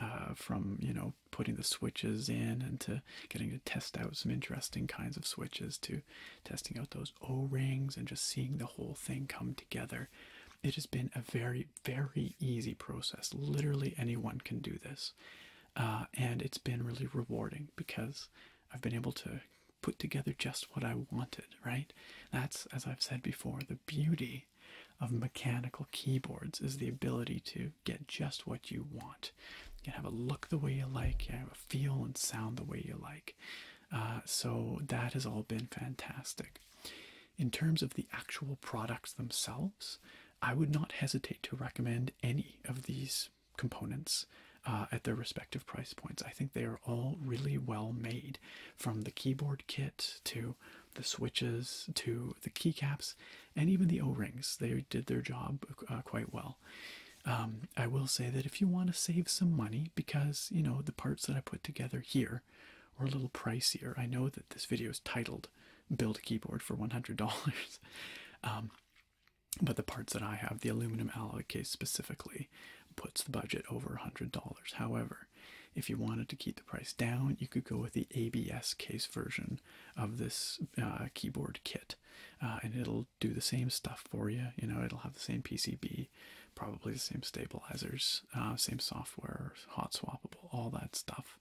uh, from you know putting the switches in and to getting to test out some interesting kinds of switches to testing out those O rings and just seeing the whole thing come together. It has been a very very easy process. Literally anyone can do this, uh, and it's been really rewarding because I've been able to put together just what I wanted. Right. That's, as I've said before, the beauty of mechanical keyboards is the ability to get just what you want. You can have a look the way you like, you can have a feel and sound the way you like. Uh, so that has all been fantastic. In terms of the actual products themselves, I would not hesitate to recommend any of these components uh, at their respective price points. I think they are all really well made from the keyboard kit to the switches to the keycaps and even the o-rings they did their job uh, quite well um, i will say that if you want to save some money because you know the parts that i put together here are a little pricier i know that this video is titled build a keyboard for $100 um, but the parts that i have the aluminum alloy case specifically puts the budget over $100 however if you wanted to keep the price down, you could go with the ABS case version of this uh, keyboard kit, uh, and it'll do the same stuff for you. You know, it'll have the same PCB, probably the same stabilizers, uh, same software, hot swappable, all that stuff.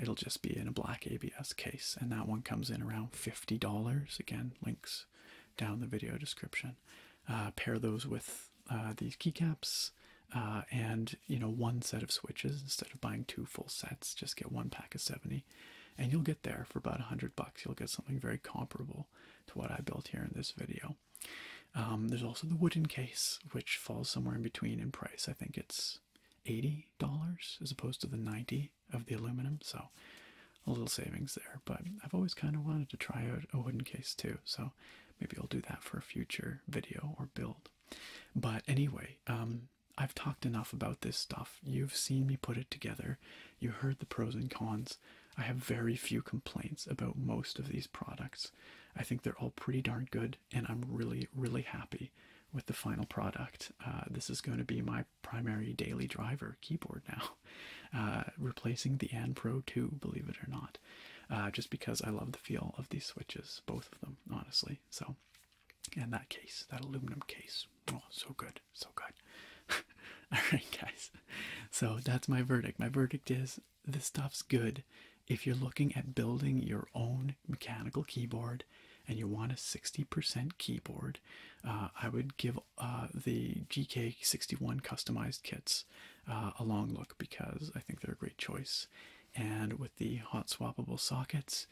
it'll just be in a black ABS case, and that one comes in around $50. Again, links down the video description. Uh, pair those with uh, these keycaps uh, and you know one set of switches instead of buying two full sets just get one pack of 70 and you'll get there for about 100 bucks you'll get something very comparable to what i built here in this video um, there's also the wooden case which falls somewhere in between in price i think it's $80 as opposed to the 90 of the aluminum so a little savings there but i've always kind of wanted to try out a wooden case too so Maybe I'll do that for a future video or build. But anyway, um, I've talked enough about this stuff. You've seen me put it together. You heard the pros and cons. I have very few complaints about most of these products. I think they're all pretty darn good, and I'm really, really happy with the final product. Uh, this is going to be my primary daily driver keyboard now, uh, replacing the Anpro 2, believe it or not. Uh, just because I love the feel of these switches, both of them, honestly. So, and that case, that aluminum case, oh, so good, so good. All right, guys. So that's my verdict. My verdict is this stuff's good. If you're looking at building your own mechanical keyboard and you want a 60% keyboard, uh, I would give uh, the GK61 customized kits uh, a long look because I think they're a great choice. And with the hot swappable sockets,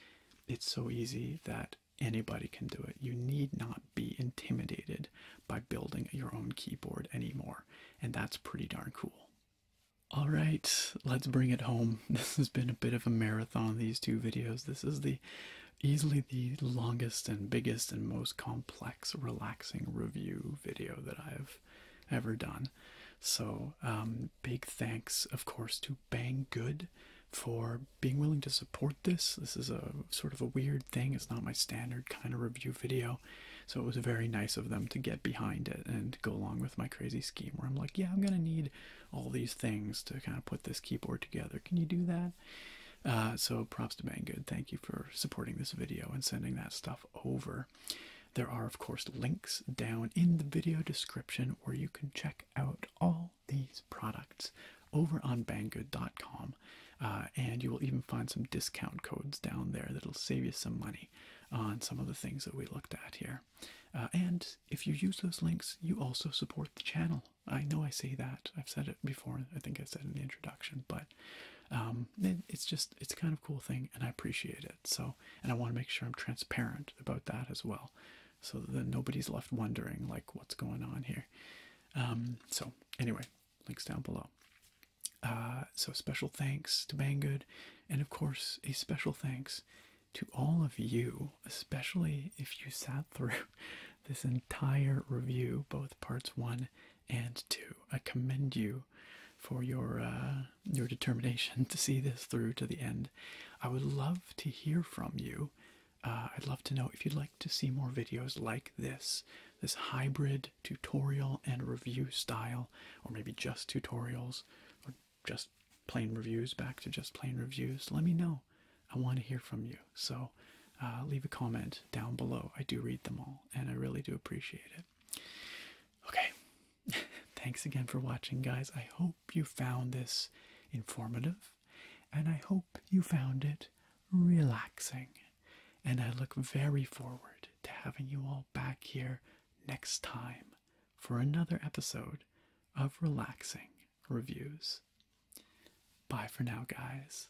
it's so easy that anybody can do it. You need not be intimidated by building your own keyboard anymore, and that's pretty darn cool. All right, let's bring it home. This has been a bit of a marathon, these two videos. This is the easily the longest and biggest and most complex relaxing review video that I've ever done. So, um, big thanks, of course, to Bang Good for being willing to support this. This is a sort of a weird thing, it's not my standard kind of review video. So, it was very nice of them to get behind it and go along with my crazy scheme where I'm like, yeah, I'm gonna need all these things to kind of put this keyboard together. Can you do that? Uh, so, props to Bang Good. Thank you for supporting this video and sending that stuff over. There are, of course, links down in the video description where you can check out all these products over on banggood.com. Uh, and you will even find some discount codes down there that'll save you some money on some of the things that we looked at here. Uh, and if you use those links, you also support the channel. I know I say that. I've said it before. I think I said in the introduction, but um, it's just it's kind of cool thing, and I appreciate it. So, and I want to make sure I'm transparent about that as well, so that nobody's left wondering like what's going on here. Um, so, anyway, links down below. Uh, so, special thanks to Banggood, and of course, a special thanks to all of you, especially if you sat through this entire review, both parts one and two. I commend you for your uh, your determination to see this through to the end. I would love to hear from you. Uh, I'd love to know if you'd like to see more videos like this, this hybrid tutorial and review style, or maybe just tutorials, or just plain reviews, back to just plain reviews. Let me know. I want to hear from you. So uh, leave a comment down below. I do read them all, and I really do appreciate it. Okay, thanks again for watching, guys. I hope you found this informative and I hope you found it relaxing. And I look very forward to having you all back here next time for another episode of Relaxing Reviews. Bye for now, guys.